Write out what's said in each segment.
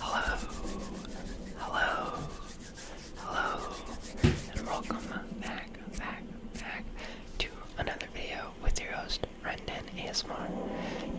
Hello, hello, hello, and welcome back, back, back to another video with your host, Rendan ASMR.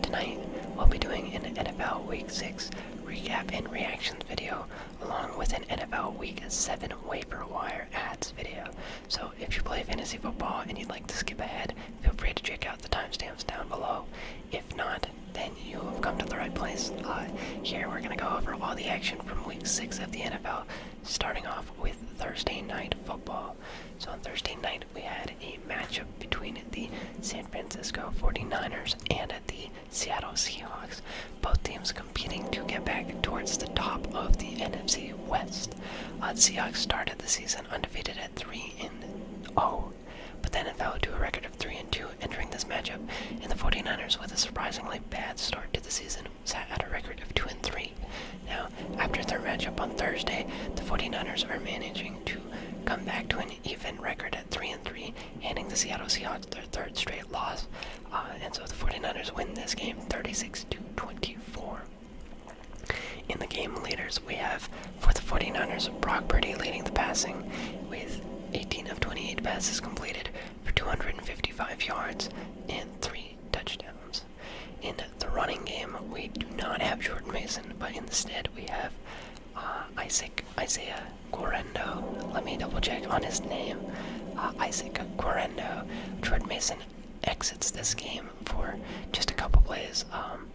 Tonight, we'll be doing an NFL Week 6 recap and reactions video, along with an NFL Week 7 waiver wire ads video. So if you play fantasy football and you'd like to skip ahead, feel free to check out the timestamps down below. If not, then you have come to the right place. Uh, here we're going to go over all the action from week 6 of the NFL, starting off with Thursday night football. So on Thursday night, we had a matchup between the San Francisco 49ers and the Seattle Seahawks, both teams competing to get back towards the top of the NFC West. Uh, Seahawks started the season undefeated at 3 and 0 but then it fell to a record of 3 and 2 entering this matchup, and the 49ers, with a surprisingly bad start to the season, sat at a record of 2 and 3. Now, after their matchup on Thursday, the 49ers are managing to come back to an even record at 3 and 3, handing the Seattle Seahawks their third straight loss. Uh, and so the 49ers win this game 36 to 24. In the game leaders, we have for the 49ers, Brock Purdy leading the passing with 18 of 28 passes completed for 255 yards and 3 touchdowns. In the running game, we do not have Jordan Mason, but instead we have uh, Isaac Isaiah Guarendo. Let me double check on his name. Uh, Isaac Guarendo. Jordan Mason exits this game for just a couple plays. Um,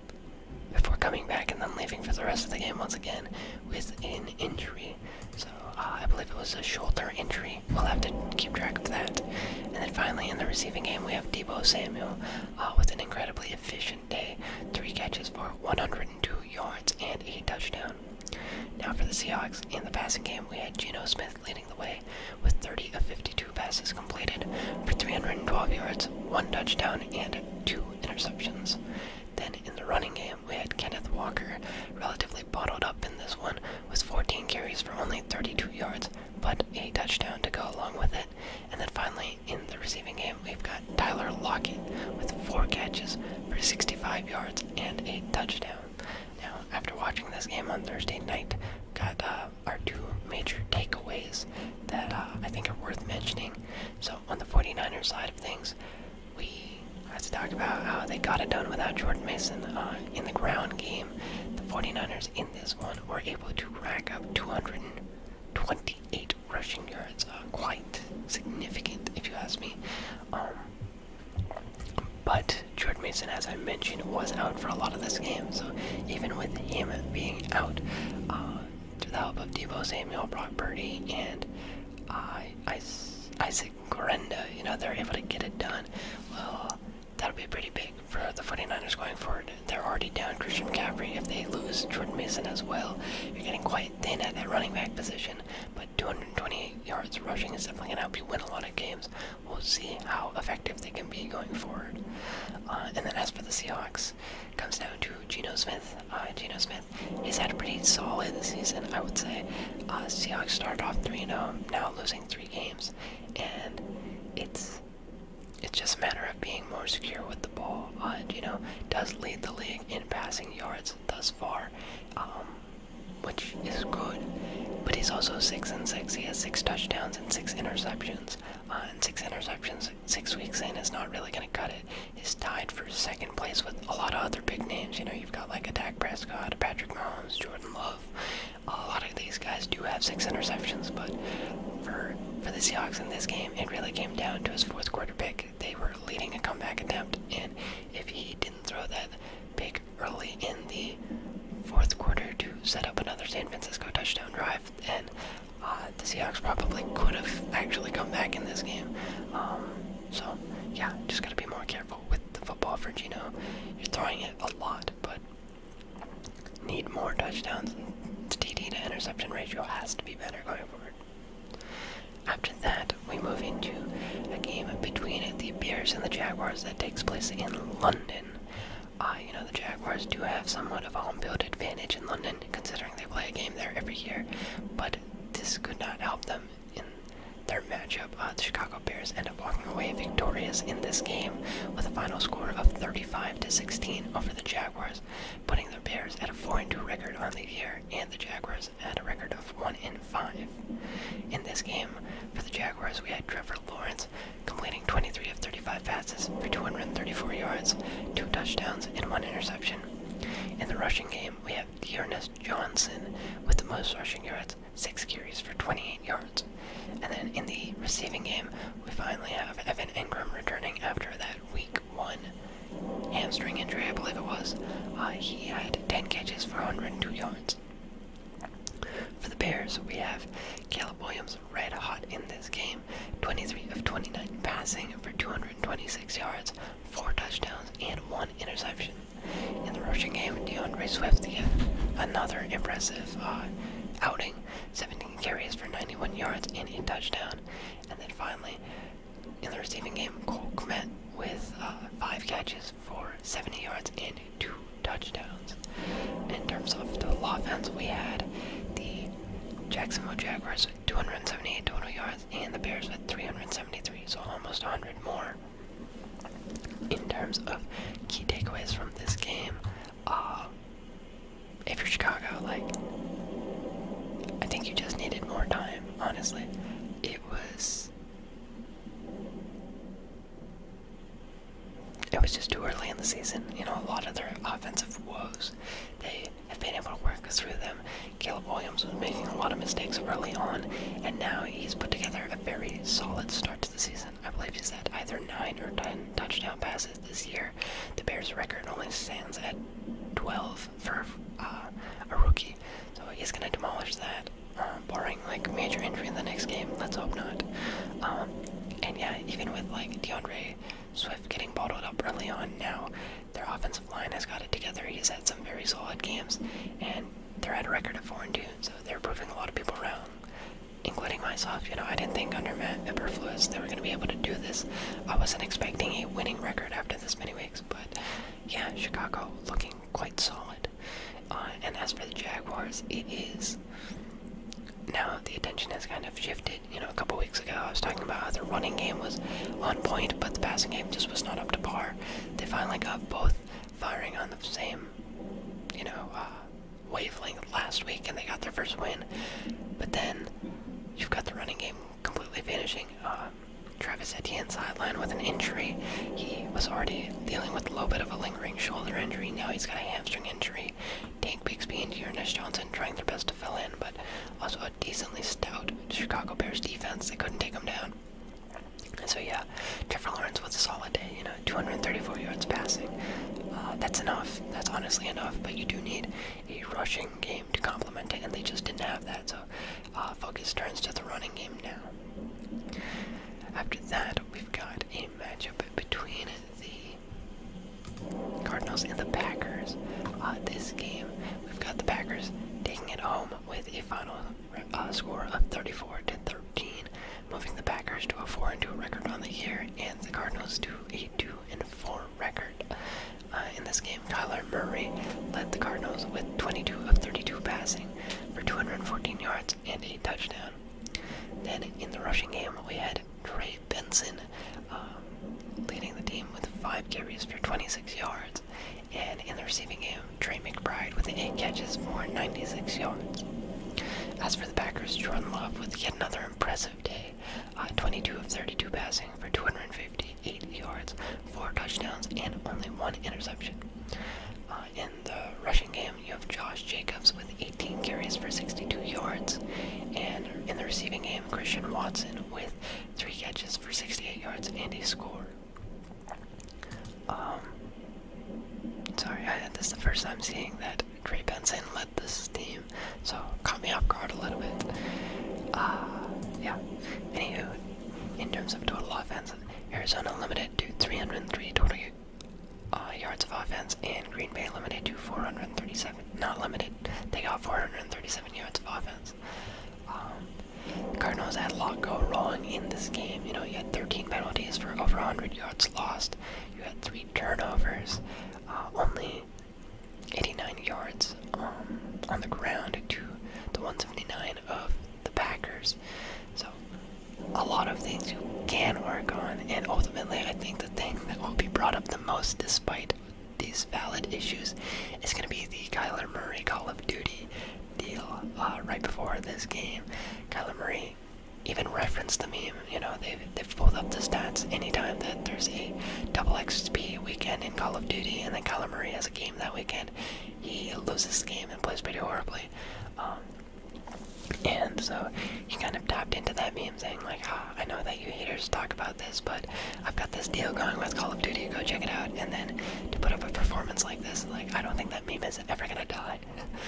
before coming back and then leaving for the rest of the game once again with an injury. So uh, I believe it was a shoulder injury. We'll have to keep track of that. And then finally in the receiving game we have Debo Samuel uh, with an incredibly efficient day. Three catches for 102 yards and a touchdown. Now for the Seahawks, in the passing game, we had Geno Smith leading the way with 30 of 52 passes completed for 312 yards, one touchdown, and two interceptions. Then in the running game, we had Kenneth Walker, relatively bottled up in this one, with 14 carries for only 32 yards, but a touchdown to go along with it. And then finally, in the receiving game, we've got Tyler Lockett with four catches for 65 yards and a touchdown. Now, after watching this game on Thursday night, got uh, our two major takeaways that uh, I think are worth mentioning. So on the 49ers side of things, we as I talked about how they got it done without Jordan Mason uh, in the ground game. The 49ers in this one were able to rack up 228 rushing yards. Uh, quite significant, if you ask me. Um, but Jordan Mason, as I mentioned, was out for a lot of this game. So even with him being out, uh, through the help of Debo Samuel, Brock Purdy, and uh, Isaac Grenda. You know, they're able to get it done. Well, that'll be pretty big for the 49ers going forward. They're already down Christian McCaffrey. If they lose Jordan Mason as well, you're getting quite thin at that running back position. But 228 yards rushing is definitely going to help you win a lot of games. We'll see how effective they can be going forward. Uh, and then as for the Seahawks, comes down to Geno Smith. Uh, Geno Smith, has had a pretty solid season, I would say. Uh, Seahawks started off 3 0, now losing three games, and it's it's just a matter of being more secure with the ball. Uh, Geno does lead the league in passing yards thus far, um, which is good. But he's also six and six. He has six touchdowns and six interceptions. Uh, and six interceptions six, weeks in is not really going to cut it. He's tied for second place with a lot of other big names. You know, you've got like a Dak Prescott, Patrick Mahomes, Jordan Love. A lot of these guys do have six interceptions, but for for the Seahawks in this game, it really came down to his fourth quarter pick. They were leading a comeback attempt, and if he didn't throw that pick early in the fourth quarter to set up another San Francisco touchdown drive, and uh, the Seahawks probably could have actually come back in this game. Um, so, yeah, just gotta be more careful with the football for Gino. You're throwing it a lot, but need more touchdowns. The TD to interception ratio has to be better going forward. After that, we move into a game between the Bears and the Jaguars that takes place in London. Uh, you know, the Jaguars do have somewhat of a home field advantage in London, considering they play a game there every year. But this could not help them in their matchup. Uh, the Chicago Bears end up walking away victorious in this game with a final score of 35 to 16 over the Jaguars, putting the Bears at a 4 2 record on the year and the Jaguars at a record of 1 5. In this game, for the Jaguars, we had Trevor Lawrence completing 23 of 35 passes for 234 yards, two touchdowns, and one interception, in the rushing game, we have Dearness Johnson with the most rushing yards, six carries for 28 yards. And then in the receiving game, we finally have Evan Ingram returning after that week one hamstring injury, I believe it was. Uh, he had 10 catches for 102 yards. For the Bears, we have Caleb Williams red hot in this game, 23 of 29 passing for 226 yards four touchdowns, and one interception. In the rushing game, DeAndre Swift again, another impressive uh, outing, 17 carries for 91 yards and a touchdown. And then finally, in the receiving game, Cole Kmet with uh, five catches for 70 yards and two touchdowns. In terms of total offense, we had the Jacksonville Jaguars 278 total yards and the Bears had 373, so almost 100 more. In terms of key takeaways from this game, uh, if you're Chicago, like, I think you just needed more time, honestly. It was. It was just too early in the season. You know, a lot of their offensive woes, they have been able to work through them. Caleb Williams was making a lot of mistakes early on, and now he's put together a very solid start to the season. I believe he's had either 9 or 10 touchdown passes this year. The Bears' record only stands at 12 for uh, a rookie, so he's going to demolish that, uh, barring like major injury in the next game. Let's hope not. Um, and yeah, even with like DeAndre Swift getting bottled up early on now, their offensive line has got it together. He's had some very solid games, and they're at a record of four and two, so they're proving a lot of people wrong, including myself. You know, I didn't think under Matt Eberflus they were going to be able to do this. I wasn't expecting a winning record after this many weeks, but yeah, Chicago looking quite solid. Uh, and as for the Jaguars, it is now the attention has kind of shifted. You a couple weeks ago, I was talking about how their running game was on point, but the passing game just was not up to par. They finally got both firing on the same, you know, uh, wavelength last week, and they got their first win. But then you've got the running game completely vanishing. Uh, Travis Etienne sideline with an injury. He was already dealing with a little bit of a lingering shoulder injury. Now he's got a hamstring injury. Tank Bixby and Dearness Johnson trying their best to fill in, but also a decently stout Chicago Bears defense. They couldn't take them down. so yeah, Trevor Lawrence was a solid day. You know, 234 yards passing. Uh, that's enough. That's honestly enough. But you do need a rushing game to complement it, and they just didn't have that. So uh, focus turns to the running game now. After that, we've got a matchup between the Cardinals and the Packers. Uh, this game We've got the Packers taking it home with a final uh, score of 34 to 13, moving the Packers to a 4 2 record on the year, and the Cardinals to a 2 and 4 record. Uh, in this game, Kyler Murray led the Cardinals with 22 of 32 passing for 214 yards and a touchdown. Then in the rushing game, we had Trey Benson um, leading the team with 5 carries for 26 yards. And in the receiving game, Trey McBride with 8 catches for 96 yards. As for the Packers, Jordan Love with yet another impressive day, uh, 22 of 32 passing for 258 yards, 4 touchdowns, and only 1 interception. Uh, in the rushing game, you have Josh Jacobs with 18 carries for 62 yards. And in the receiving game, Christian Watson with three catches for 68 yards and a score. Um, sorry, I, this is the first time seeing that Trey Benson led this team, so caught me off guard a little bit. Uh, yeah. Anywho, in terms of total offense, Arizona limited to 303 total uh, yards of offense, and Green Bay limited to 437. Not limited, they got 437 yards of offense. Um, Cardinals had a lot go wrong in this game. You know, you had 13 penalties for over 100 yards lost. You had three turnovers, uh, only 89 yards um, on the ground to the 179 of the Packers. So, a lot of things you can work on, and ultimately, I think the thing that will be brought up the most, despite these valid issues is going to be the Kyler Murray Call of Duty deal uh, right before this game. Kyler Murray even referenced the meme. You know, they've, they've pulled up the stats anytime that there's a double XP weekend in Call of Duty and then Kyler Murray has a game that weekend. He loses the game and plays pretty horribly. Um, and so he kind of tapped into that meme saying like, ah, I know that you haters talk about this, but I've got this deal going with Call of Duty. Go check it out. And then to put up a performance like this, like I don't think that meme is ever gonna die.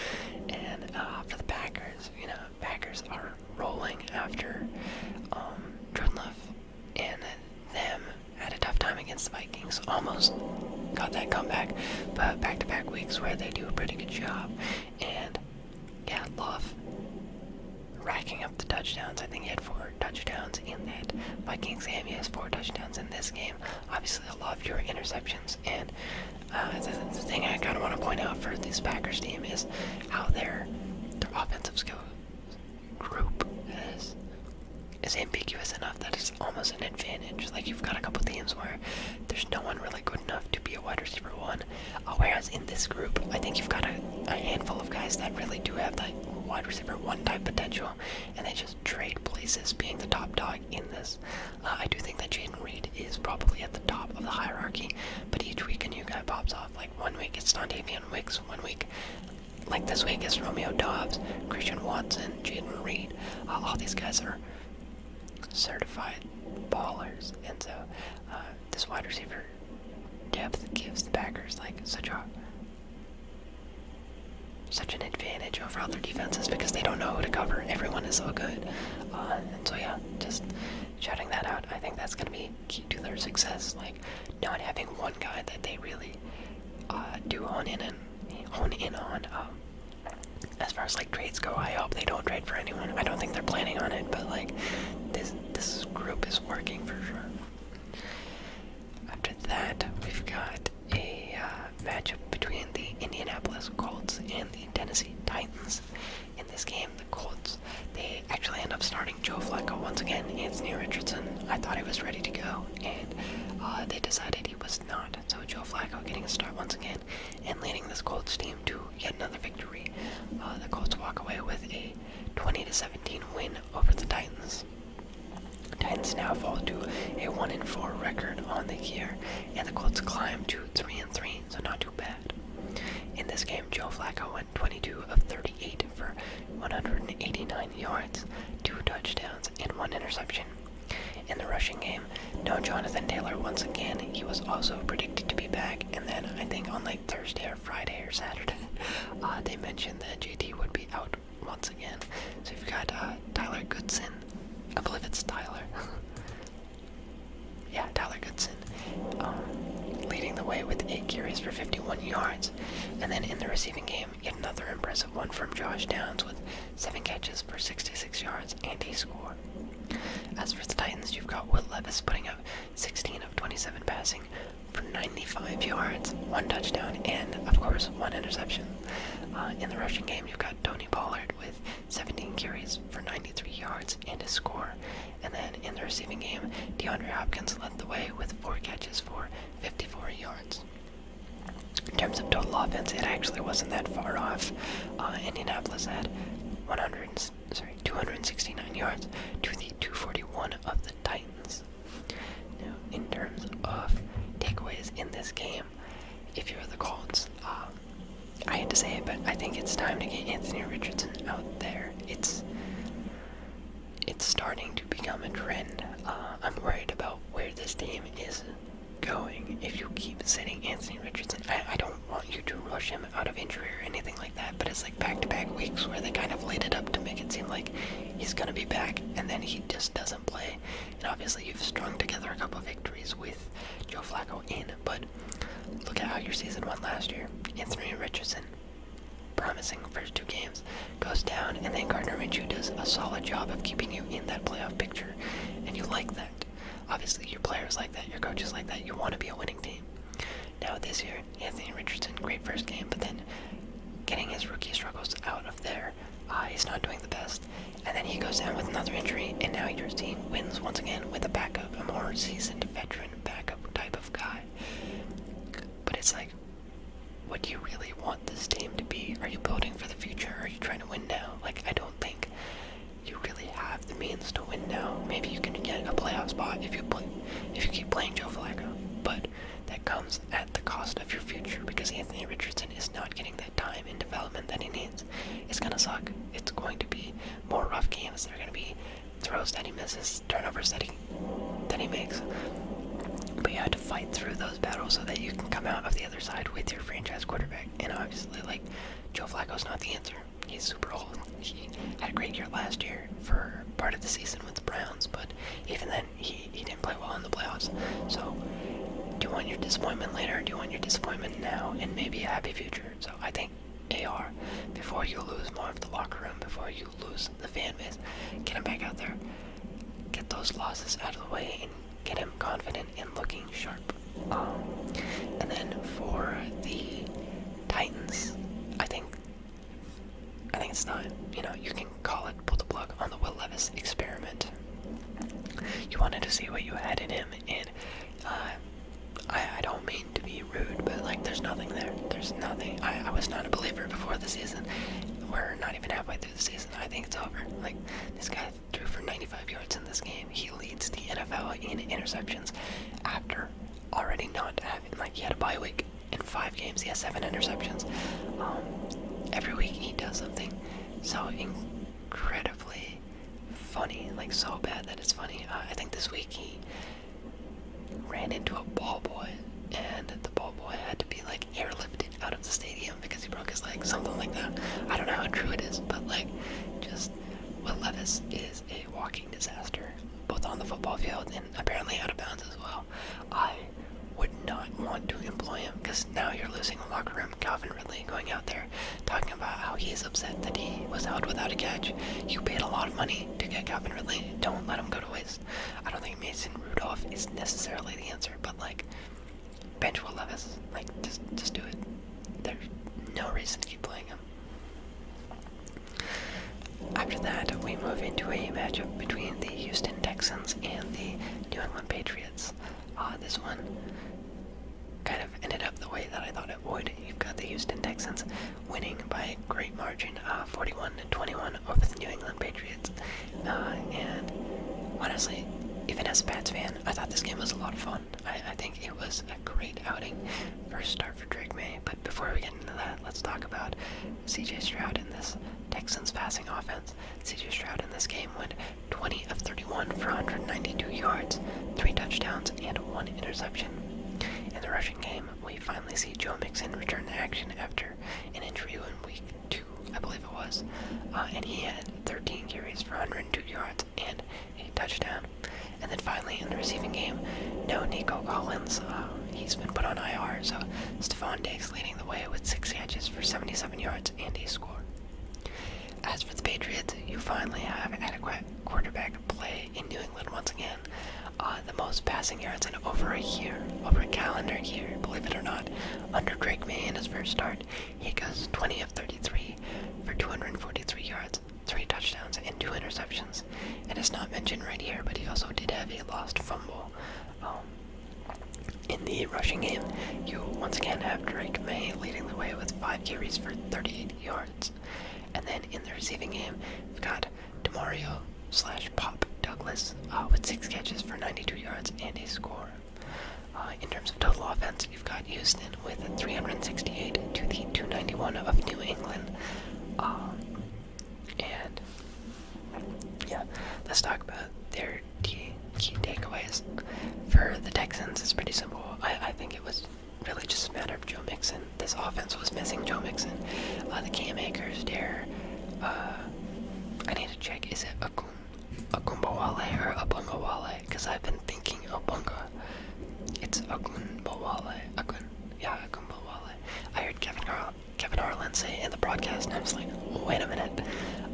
and uh, for the Packers, you know, Packers are rolling after um, and them had a tough time against the Vikings. Almost got that comeback, but back to -back weeks where they do a pretty good job. And yeah, Love racking up the touchdowns. I think he had four for touchdowns in that Vikings game. He has four touchdowns in this game. Obviously, a lot of your interceptions. And uh, the, thing I kind of want to point out for this Packers team is how their their offensive skill group is ambiguous enough that it's almost an advantage. Like you've got a couple teams where there's no one really good enough to be a wide receiver one. Uh, whereas in this group, I think you've got a, a handful of guys that really do have that wide receiver one type potential and they just trade places, being the top dog in this. Uh, I do think that Jaden Reed is probably at the top of the hierarchy, but each week a new guy pops off. Like one week it's Dontavian Wicks, one week, like this week, it's Romeo Dobbs, Christian Watson, Jaden Reed. Uh, all these guys are certified ballers, and so uh, this wide receiver depth gives the Packers like such a such an advantage over other defenses because they don't know who to cover. Everyone is so good. Uh, and so, yeah, just shouting that out. I think that's going to be key to their success. Like, not having one guy that they really uh, do hone in and hone in on. Um, as far as like trades go, I hope they don't trade for anyone. I don't think they're planning on it, but like this this group is working for sure. After that, we've got a uh, matchup between the Indianapolis Colts and the Tennessee Titans. In this game, the Colts they actually end up starting Joe Flacco once again. Anthony Richardson, I thought he was ready to go, and uh, they decided he was not. So Joe Flacco getting a start once again and leading this Colts team to yet another victory. Uh, the Colts walk away with a 20 17 win over the Titans. Titans now fall to a one and four record on the year, and the Colts climb to three and three, so not too bad. In this game, Joe Flacco went 22 of 38 for 189 yards, two touchdowns, and one interception. In the rushing game, no Jonathan Taylor once again. He was also predicted to be back, and then I think on like Thursday or Friday or Saturday, uh, they mentioned that JT would be out once again. So we have got uh, Tyler Goodson. I believe it's Tyler. yeah, Tyler Goodson. Um, leading the way with eight carries for 51 yards. And then in the receiving game, yet another impressive one from Josh Downs with seven catches for 66 yards and a score. As for the Titans, you've got Will Levis putting up 16 of 27 passing for 95 yards, one touchdown, and of course one interception. Uh, in the rushing game, you've got Tony Pollard with 17 carries for 93 yards and a score. And then in the receiving game, DeAndre Hopkins led the way with four catches for 54 yards. In terms of total offense, it actually wasn't that far off. Uh, Indianapolis had 100, sorry, 269 yards to the 241 of the Titans. Now, in terms of takeaways in this game, if you're the Colts, uh, I hate to say it, but I think it's time to get Anthony Richardson out there. It's it's starting to become a trend. Uh, I'm worried about where this team is going if you keep sitting Anthony Richardson. I don't want you to rush him out of injury or anything like that, but it's like back to back weeks where they kind of laid it up to make it seem like he's gonna be back, and then he just doesn't play. And obviously, you've strung together a couple victories with Joe Flacco in, but look at how your season went last year. Anthony Richardson, promising first two games, goes down, and then Gardner Minshew does a solid job of keeping you in that playoff picture, and you like that. Obviously, your players like that, your coaches like that. You want to be a winning team. Now this year, Anthony Richardson, great first game, but then getting his rookie struggles out of there Ah, he's not doing the best. And then he goes down with another injury, and now your team wins once again with a backup, a more seasoned veteran backup type of guy. But it's like, what do you really want this team to be? Are you building for the future? Or are you trying to win now? Like, I don't think you really have the means to win now. Maybe you can get a playoff spot if you if you keep playing Joe Flacco. But that comes at the cost of your future because Anthony Richardson is not getting that time and development that he needs. It's gonna suck. It's going to be more rough games. There are gonna be throws that he misses, turnovers that he that he makes. But you have to fight through those battles so that you can come out of the other side with your franchise quarterback. And obviously, like Joe Flacco's not the answer. He's super old. He had a great year last year for part of the season with the Browns, but even then he, he didn't play well in the playoffs. So, do you want your disappointment later? Or do you want your disappointment now and maybe a happy future? So, I think AR, before you lose more of the locker room, before you lose the fan base, get him back out there, get those losses out of the way, and get him confident and looking sharp. Um, and then for the Titans, I think I think it's not, you know, you can call it pull the plug on the Will Levis experiment. You wanted to see what you had in him, and uh, I, I don't mean to be rude, but like, there's nothing there. There's nothing. I, I was not a believer before the season. We're not even halfway through the season. I think it's over. Like, this guy threw for 95 yards in this game. He leads the NFL in interceptions after already not having, like, he had a bye week five games, he has seven interceptions. Um, every week he does something so incredibly funny, like so bad that it's funny. Uh, I think this week he ran into a ball boy, and the ball boy had to be like airlifted out of the stadium because he broke his leg, something like that. I don't know how true it is, but like, just what Levis is a walking disaster, both on the football field and apparently out of bounds as well. I would not want to employ him because now you're losing the locker room. Calvin Ridley going out there talking about how he's upset that he was held without a catch. You paid a lot of money to get Calvin Ridley. Don't let him go to waste. I don't think Mason Rudolph is necessarily the answer, but like bench Will love us. like just just do it. There's no reason to keep playing him. After that, we move into a matchup between the Houston Texans and the New England Patriots. Ah, this one kind of ended up the way that I thought it would. You've got the Houston Texans winning by a great margin, uh, 41 to 21 over the New England Patriots. Uh, and honestly, even as a Pats fan, I thought this game was a lot of fun. I think it was a great outing. First start for Drake May, but before we get into that, let's talk about CJ Stroud and this Texans passing offense yards. CJ Stroud in this game went 20 of 31 for 192 yards, three touchdowns, and one interception. In the rushing game, we finally see Joe Mixon return to action after an injury in week two, I believe it was, uh, and he had 13 carries for 102 yards and a touchdown. And then finally in the receiving game, no Nico Collins. Uh, he's been put on IR, so Stephon Diggs the way with six catches for 77 yards and a score. As for the Patriots, you finally have adequate quarterback play in New England once again. Uh, the most passing yards in over a year, over a calendar year, believe it or not, under Drake May in his first start. He goes 20 of 33 for 243 yards, 3 touchdowns, and 2 interceptions. It is not mentioned right here, but he also did have a lost fumble um, in the rushing game, you once again have Drake May leading the way with five carries for 38 yards. And then in the receiving game, we've got Demario slash Pop Douglas uh, with six catches for 92 yards and a score. Uh, in terms of total offense, you've got Houston with 368 to the 291 of New England. Um, and yeah, let's talk about their key takeaways for the Texans. It's pretty simple. I think it was really just a matter of Joe Mixon. This offense was missing Joe Mixon. Uh, the Cam Akers there. Uh, I need to check. Is it Akum Akumbawale or Abungawale? Because I've been thinking Abunga. It's Akumbawale. Akun. Yeah, Akumbawale. I heard Kevin Har Kevin Harlan say in the broadcast, and Wait a minute.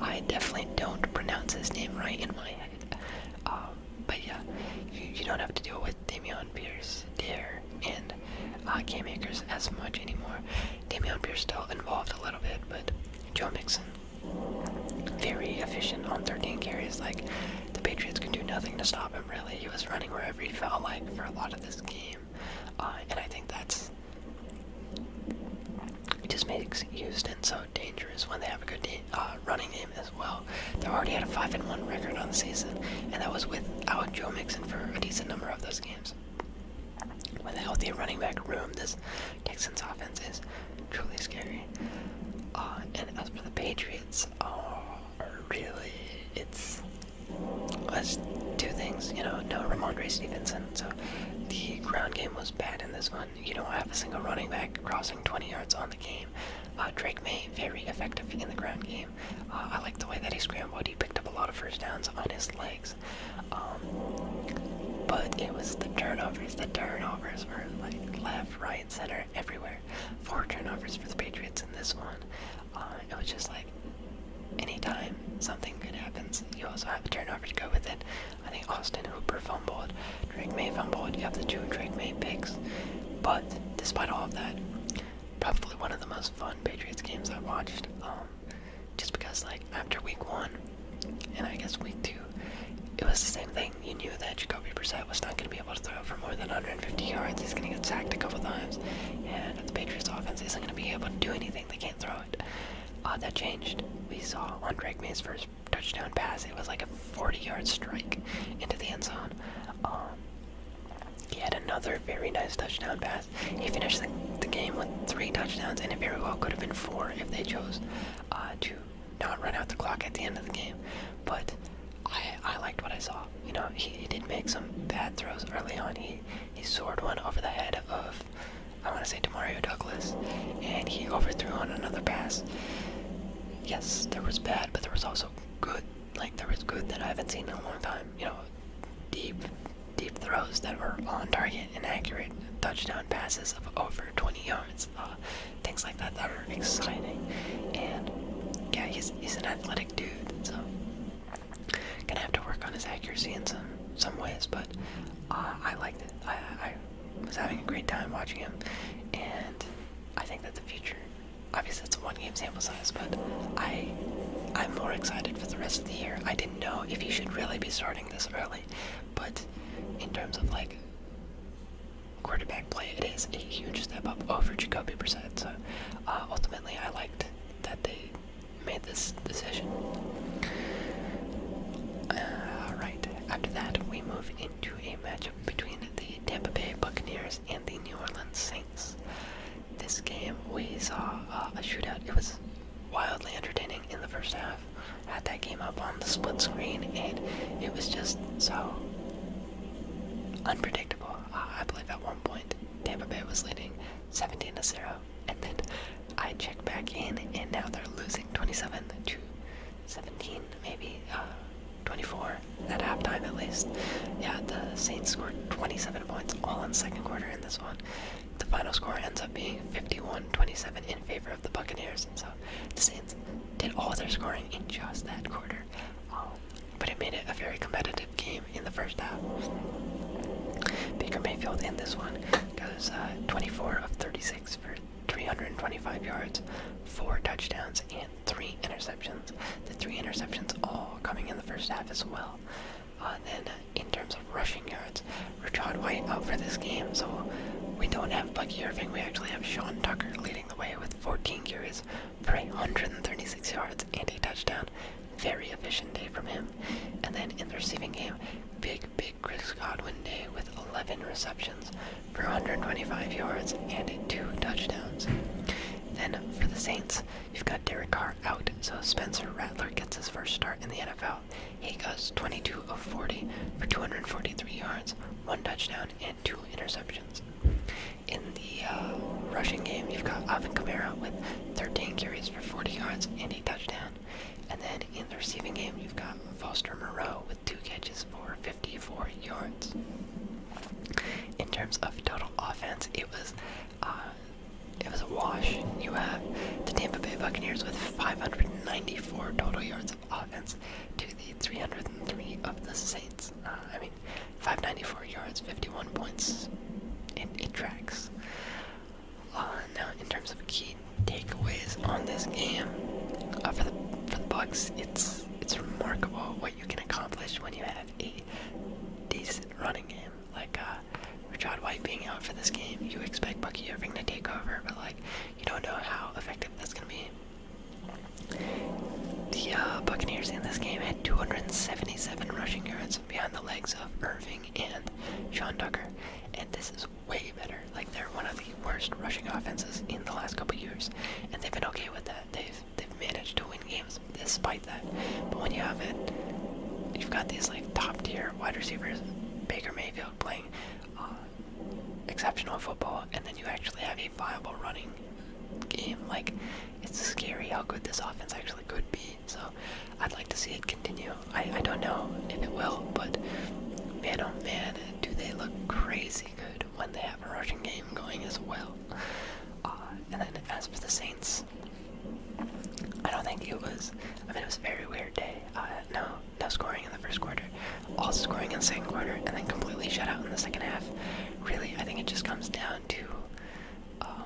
I definitely don't pronounce his name right in my head. Um, but yeah, you, don't have to deal with Damian Pierce, Dare, and uh, Game Makers as much anymore. Damian Pierce still involved a little bit, but Joe Mixon, very efficient on 13 carries. Like, the Patriots could do nothing to stop him, really. He was running wherever he felt like for a lot of this game. Uh, and I think that's it just makes Houston so dangerous when they have a good uh, running game as well. They already had a five and one record on the season, and that was without Joe Mixon for a decent number of those games. With a healthy running back room, this Texans offense is truly scary. Uh, and as for the Patriots, oh, really, it's well, two things. You know, no Ramondre Stevenson, so the ground game was bad in this one. You don't have a single running back crossing 20 yards on the game. Uh, Drake May, very effective in the ground game. Uh, I like the way that he scrambled. He picked up a lot of first downs on his legs. Um, but it was the turnovers. The turnovers were like left, right, center, everywhere. Four turnovers for the Patriots in this one. Uh, it was just like anytime something good happens, you also have a turnover to go with it. I think Austin Hooper fumbled, Drake May fumbled. You have the two Drake May picks. But despite all of that, probably one of the most fun Patriots games I watched. Um, just because, like, after week one, and I guess week two, it was the same thing. You knew that Jacoby Brissett was not going to be able to throw for more than 150 yards. He's going to get sacked a couple times, and the Patriots offense isn't going to be able to do anything. They can't throw uh, that changed. We saw on Drake May's first touchdown pass, it was like a 40 yard strike into the end zone. Um, he had another very nice touchdown pass. He finished the, game with three touchdowns, and it very well could have been four if they chose uh, to not run out the clock at the end of the game. But I, liked what I saw. You know, he did make some bad throws early on. He he soared one over the head of I want to say to Mario Douglas, and he overthrew on another pass. Yes, there was bad, but there was also good. Like there was good that I haven't seen in a long time. You know, deep, deep throws that were on target and accurate, touchdown passes of over 20 yards, uh, things like that that are exciting. And yeah, he's he's an athletic dude, so gonna have to work on his accuracy in some some ways, but uh, I like this. I, was having a great time watching him, and I think that the future. Obviously, it's one game sample size, but I, I'm more excited for the rest of the year. I didn't know if he should really be sorting this early, but in terms of like quarterback play, it is a huge step up over Jacoby Brissett. So uh, ultimately, I liked that they made this decision. Alright, uh, after that, we move into a matchup between the Tampa Bay Buccaneers and the New Orleans Saints. This game, we saw uh, a shootout. It was wildly entertaining in the first half. Had that game up on the split screen, and it was just so unpredictable. I believe at one point Tampa Bay was leading 17 to 0, and then I check back in, and now they're losing 27 to 17, maybe uh, 24 at halftime at least. Yeah, the Saints scored 27 points all in second quarter in this one. The final score ends up being 51-27 in favor of the Buccaneers, so the Saints did all their scoring in just that quarter. Um, but it made it a very competitive game in the first half. Baker Mayfield in this one goes uh, 24 of 36 for 325 yards, four touchdowns, and three interceptions. The three interceptions all coming in the first half as well. Uh, then in terms of rushing yards, Richard White out for this game, so we don't have Bucky Irving. We actually have Sean Tucker leading the way with 14 carries for 136 yards and a touchdown. Very efficient day from him. And then in the receiving game, big big Chris Godwin day with 11 receptions for 125 yards and two touchdowns. Then for the Saints, you've got Derek Carr out, so Spencer Rattler gets his first start in the NFL. He goes 22 of 40 for 243 yards, one touchdown, and two interceptions. In the uh, rushing game, you've got Alvin Kamara with 13 carries for 40 yards and a touchdown. And then in the receiving game, you've got Foster Moreau with two catches for 54 yards. In terms of total offense, it was uh, it was a wash. You have the Tampa Bay Buccaneers with 594 total yards of offense to the 303 of the Saints. Uh, I mean, 594 yards, 51 points. and it tracks. Uh, now, in terms of key takeaways on this game, uh, for the for the Bucks, it's it's remarkable what you can accomplish when you have a decent running game. Like uh, Rashad White being out for this game, you expect Bucky Irving to take over, but like you don't know how effective that's gonna be. The uh, Buccaneers in this game had 277 rushing yards behind the legs of Irving and Sean Tucker, and this is way better. Like they're one of the worst rushing offenses in the last couple years, and they've been okay with that. They've they've managed to win games despite that. But when you have it, you've got these like top tier wide receivers, Baker Mayfield playing uh, exceptional football, and then you actually have a viable running game. Like it's scary how good this offense actually could be. So I'd like to see it continue. I, I don't know if it will, but man oh man, do they look crazy good when they have a rushing game going as well. Uh, and then as for the Saints, I don't think it was, I mean it was a very weird day. Uh, no, no scoring in the first quarter, all scoring in the second quarter, and then completely shut out in the second half. Really, I think it just comes down to um,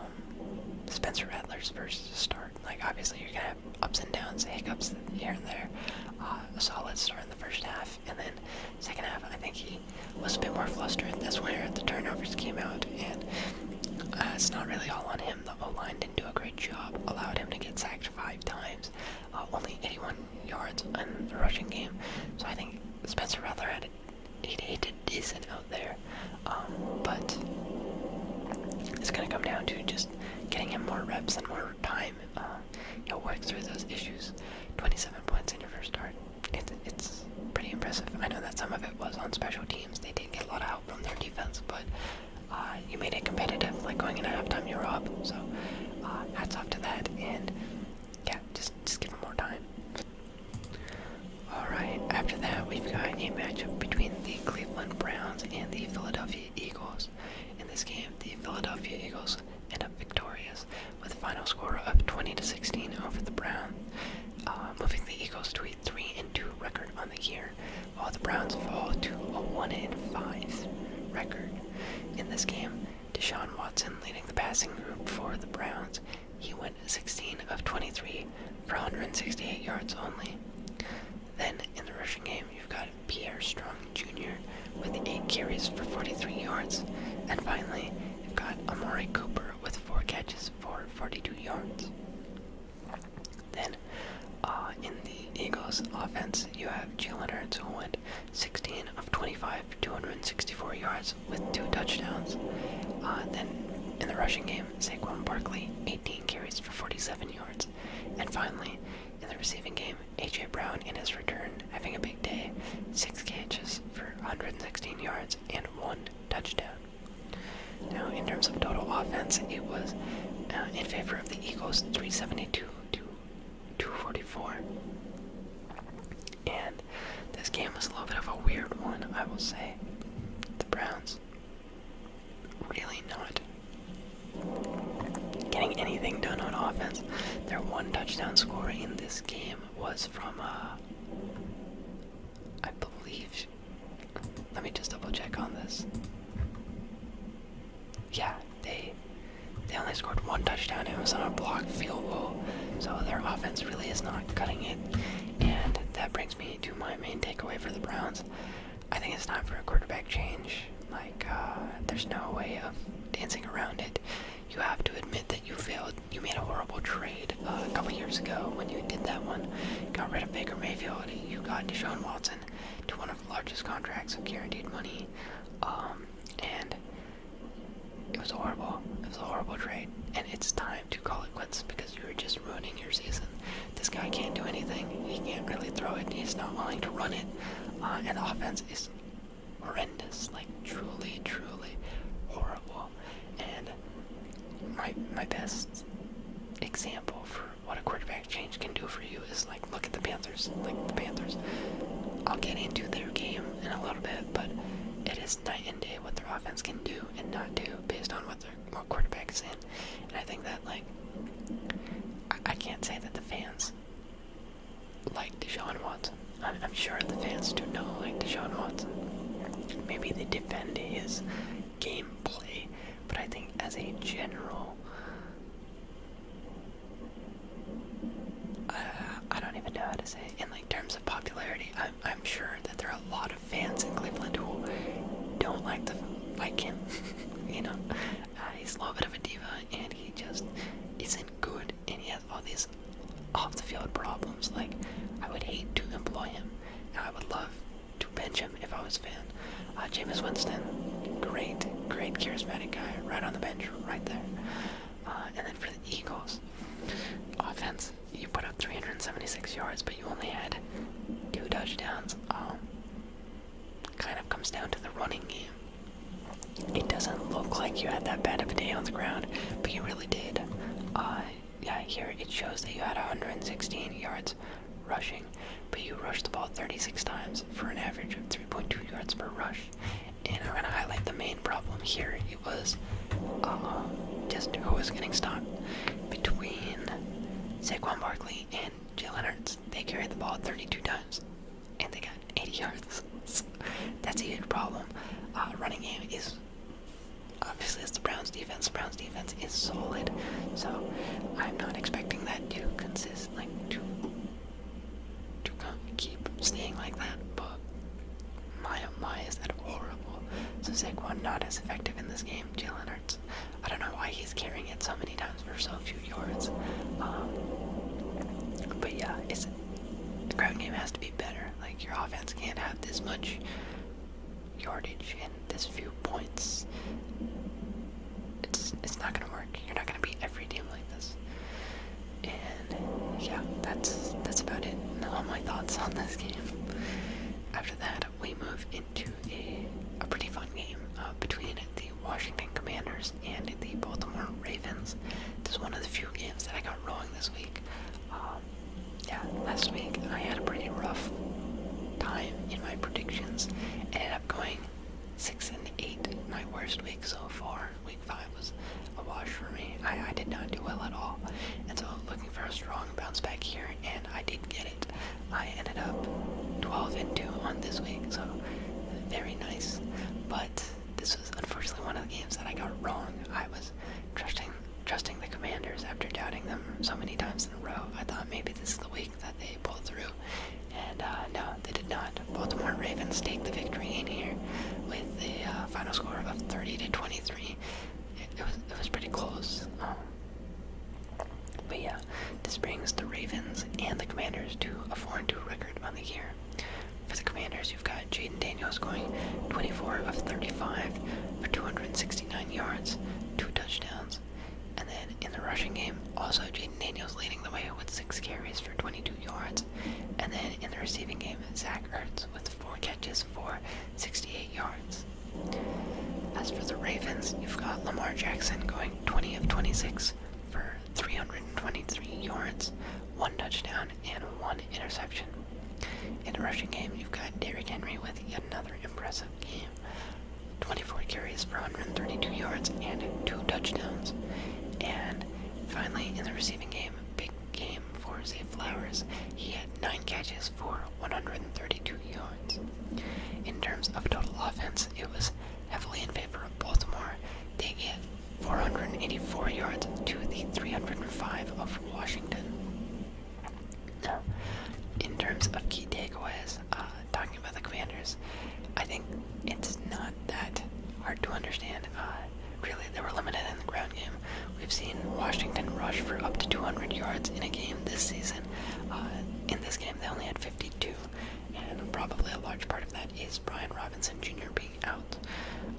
Spencer Rattler's first start. Like obviously you're gonna have have ups and downs, hiccups here and there. Uh, a solid start in the first half, and then second half, I think he was a bit more flustered. That's where the turnovers came out, and uh, it's not really all on him. The O line didn't do a great job, allowed him to get sacked five times, uh, only 81 yards in the rushing game. So I think Spencer Rattler had a, he, he did decent out there, um, but it's going to come down to just getting him more reps and more time time, uh, you'll work through those issues. 27 points in your first start. It, it's pretty impressive. I know that some of it was on special teams. They did get a lot of help from their defense, but uh, you made it competitive. Like going into halftime, you were up. So uh, hats off to that. And yeah, just just give them more time. All right. After that, we've got a matchup between the Cleveland Browns and the Philadelphia Eagles. In this game, the Philadelphia Eagles end up victorious with a final score of 20 to 16 over the Browns, uh, moving the Eagles to a 3 and 2 record on the year, while the Browns fall to a 1 and 5 record. In this game, Deshaun Watson leading the passing group for the Browns. He went 16 of 23 for 168 yards only. Then in the rushing game, you've got Pierre Strong Jr. with 8 carries for 43 yards. And finally, you've got Amari Cooper with 4 catches for 42 yards. Then, uh, in the Eagles offense, you have Jalen Hurts who went 16 of 25 for 264 yards with 2 touchdowns. Uh, then, in the rushing game, Saquon Barkley, 18 carries for 47 yards. And finally, in the receiving game, A.J. Brown, in his return, having a big day, six catches for 116 yards and one touchdown. Now, in terms of total offense, it was uh, in favor of the Eagles, 372 to 244. And this game was a little bit of a weird one, I will say. The Browns really not getting anything done on offense. Their one touchdown score in this game was from, uh, believe. Let me just double check on this. Yeah, they they only scored one touchdown. It was on a blocked field goal, so their offense really is not cutting it. And that brings me to my main takeaway for the Browns. I think it's time for a quarterback change. Like, uh, there's no way of dancing around it. You have to admit that you failed. You made a horrible trade uh, a couple years ago when you did that one. You got rid of Baker Mayfield. You got Deshaun Watson to one of the largest contracts of guaranteed money. Um, and it was horrible. It was a horrible trade. And it's time to call it quits because you're just ruining your season. This guy can't do anything. He can't really throw it. He's not willing to run it. Uh, and the offense is horrendous, like truly, truly horrible. And my my best example for what a quarterback change can do for you is like look at the Panthers. Like the Panthers. I'll get into their game in a little bit, but it is night and day what their offense can do and not do based on what their what quarterback is in. And I think that like I, I can't say that the fans like Deshaun Watson. I'm, sure the fans do know like Deshaun Watson. Maybe they defend his gameplay, but I think as a general, uh, I don't even know how to say. It. In like terms of popularity, I'm, sure that there are a lot of fans in Cleveland who don't like him. you know, uh, he's a little bit of a diva and he just isn't good, and he has all these off the field problems. Like, I would hate to employ him, I would love to bench him if I was a fan. Uh, Jameis Winston, great, great charismatic guy, right on the bench, right there. Uh, and then for the Eagles, offense, you put up 376 yards, but you only had two touchdowns. Um, kind of comes down to the running game. It doesn't look like you had that bad of a day on the ground, but you really did. Uh, yeah, here it shows that you had 116 yards rushing, but you rushed the ball 36 times for an average of 3.2 yards per rush. And I'm going to highlight the main problem here. It was uh, just who was getting stopped between Saquon Barkley and Jalen Hurts. They carried the ball 32 times and they got 80 yards. That's a huge problem. Uh, running game is obviously it's the Browns' defense. Browns' defense is solid, so I'm not expecting that to consist like to to keep staying like that. But my oh my is that horrible. So Saquon not as effective in this game. Jalen Hurts. I don't know why he's carrying it so many times. For so, few yards. Um, but yeah, it's the ground game has to be better. Like your offense can't have this much yardage and this few points. It's it's not gonna work. You're not gonna beat every team like this. And yeah, that's that's about it. All my thoughts on this game. After that, we move into a pretty fun game uh, between Washington Commanders and the Baltimore Ravens. This is one of the few games that I got rolling this week. Um, yeah, last week I had a pretty rough time in my predictions. I ended up going six and eight. My worst week so far. Week five was a wash for me. I, I did not do well at all. And so looking for a strong bounce back here, and I did get it. I ended up 12 and 2 on this week, so very nice. But this was unfortunately one of the games that I got wrong. I was trusting trusting the commanders after doubting them so many times in a row. I thought maybe this is the week that they pull through. And uh, no, they did not. Baltimore Ravens take the victory in here with the uh, final score of 30 to 23. It, was it was pretty close. Um, but yeah, this brings the Ravens and the Commanders to a four and two record on the year. For the Commanders, you've got Jaden Daniels going 24 of 35 for 269 yards, two touchdowns. And then in the rushing game, also Jaden Daniels leading the way with six carries for 22 yards. And then in the receiving game, Zach Ertz with four catches for 68 yards. As for the Ravens, you've got Lamar Jackson going 20 of 26 for 323 yards, one touchdown, and one interception. In the rushing game, you've got Derrick Henry with yet another impressive game. 24 carries for 132 yards and two touchdowns. And finally, in the receiving game, big game for Zay Flowers. He had 9 catches for 132 yards. In terms of total offense, it was heavily in favor of Baltimore. They get 484 yards to the 305 of Washington. Now, in terms of key takeaways, uh, talking about the Commanders, I think it's not that hard to understand. Uh, really, they were limited in the ground game. We've seen Washington rush for up to 200 yards in a game this season. Uh, in this game, they only had 52 and probably a large part of that is Brian Robinson Jr. being out.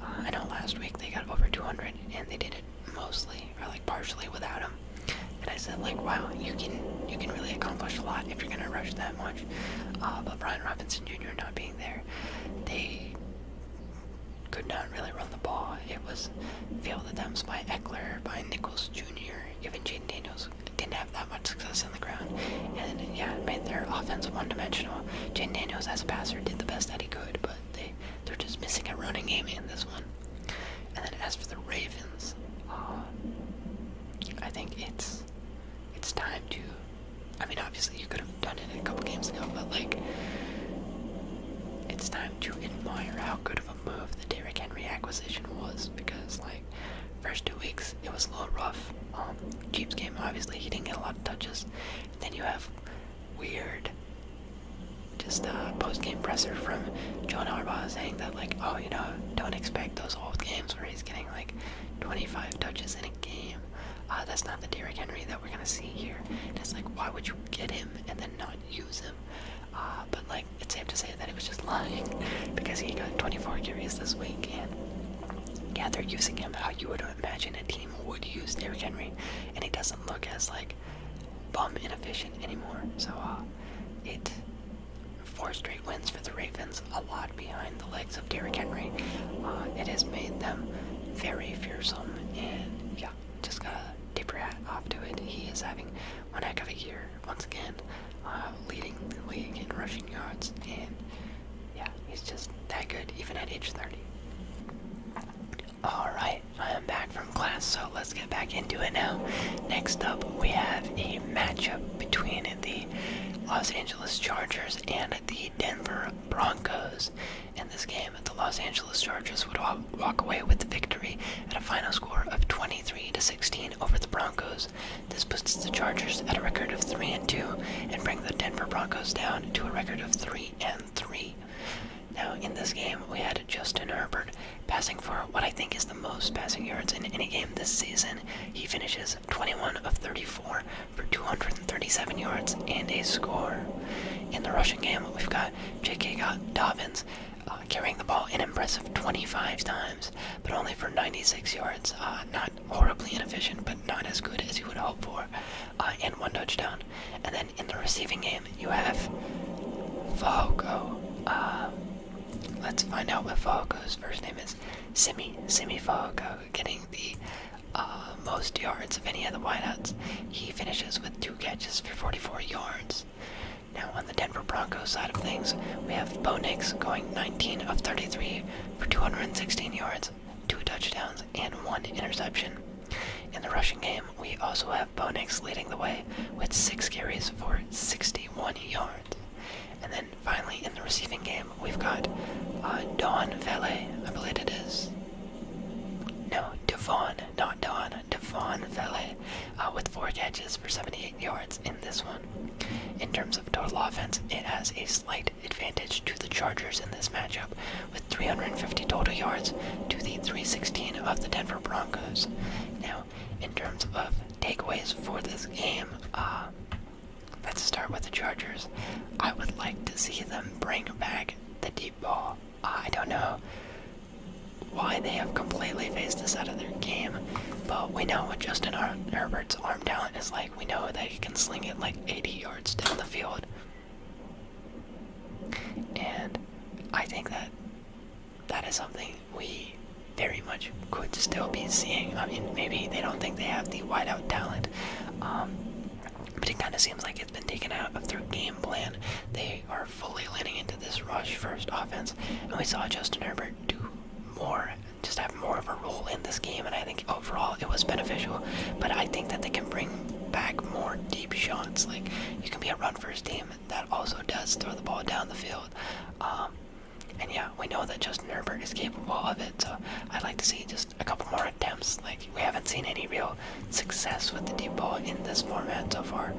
Uh, I know last week they got over 200, and they did it mostly or like partially without him. And I said, like, wow, you can you can really accomplish a lot if you're gonna rush that much. Uh, but Brian Robinson Jr. not being there, they could not really run the ball. It was fielded them by Eckler, by Nichols Jr., even Jane Daniels didn't have that much success on the ground. And yeah, made their offense one dimensional. Jane Daniels as a passer did the best that he could, but they they're just missing a running game in this one. And then as for the Ravens, uh, I think it's it's time to I mean obviously you could have done it a couple games ago, but like it's time to admire how good of a move the Derrick Henry acquisition was because like first two weeks it was a little rough. Um, Jeeps game obviously he didn't get a lot of touches. then you have weird, just uh, post game presser from John Arbaugh saying that like oh you know don't expect those old games where he's getting like 25 touches in a game. Uh, that's not the Derrick Henry that we're gonna see here. And it's like why would you get him and then not use him? Uh, but like it's safe to say that he was just lying because he got 24 carries this week yeah, they're using him how you would imagine a team would use Derrick Henry, and he doesn't look as like bum inefficient anymore. So uh, it four straight wins for the Ravens, a lot behind the legs of Derrick Henry. Uh, it has made them very fearsome, and yeah, just got a tip your off to it. He is having one heck of a year once again, uh, leading league in rushing yards and yeah, he's just that good, even at age 30. Alright, I am back from class, so let's get back into it now. Next up, we have a matchup between the Los Angeles Chargers and the Denver Broncos. In this game, the Los Angeles Chargers would walk away with the victory at a final score of 23 to 16 over the Broncos. This puts the Chargers at a record of 3 and 2 and brings the Denver Broncos down to a record of 3 and 3. Now, in this game, we had Justin Herbert passing for what I think is the most passing yards in any game this season. He finishes 21 of 34 for 237 yards and a score. In the rushing game, we've got J.K. Dobbins uh, carrying the ball an impressive 25 times, but only for 96 yards, uh, horribly inefficient, but not as good as you would hope for, uh, in one touchdown. And then in the receiving game, you have Fahoko. Uh, let's find out what Fahoko's first name is. Simi, Simi Fahoko, getting the uh, most yards of any of the wideouts. He finishes with two catches for 44 yards. Now on the Denver Broncos side of things, we have Bo Nix going 19 of 33 for 216 yards two touchdowns, and one interception. In the rushing game, we also have Bo leading the way with six carries for 61 yards. And then finally, in the receiving game, we've got uh, Don Valet, I believe it is. No, Devon, not Don, Devon Valet, uh, with four catches for 78 yards in this one. In terms of total offense, it has a slight advantage to the Chargers in this matchup, with 350 total yards to the 316 of the Denver Broncos. Now, in terms of takeaways for this game, uh, let's start with the Chargers. I would like to see them bring back the deep ball. Uh, I don't know why they have completely phased this out of their game, but we know what Justin Herbert's arm talent is like we know that he can sling it like 80 yards down the field. And I think that that is something we very much could still be seeing. I mean, maybe they don't think they have the wideout talent, um, but it kind of seems like it's been taken out of their game plan. They are fully leaning into this rush first offense, and we saw Justin Herbert do more just have more of a role in this game, and I think overall it was beneficial. But I think that they can bring back more deep shots. Like you can be a run first team that also does throw the ball down the field. Um, and yeah, we know that Justin Herbert is capable of it, so I'd like to see just a couple more attempts. Like we haven't seen any real success with the deep ball in this format so far.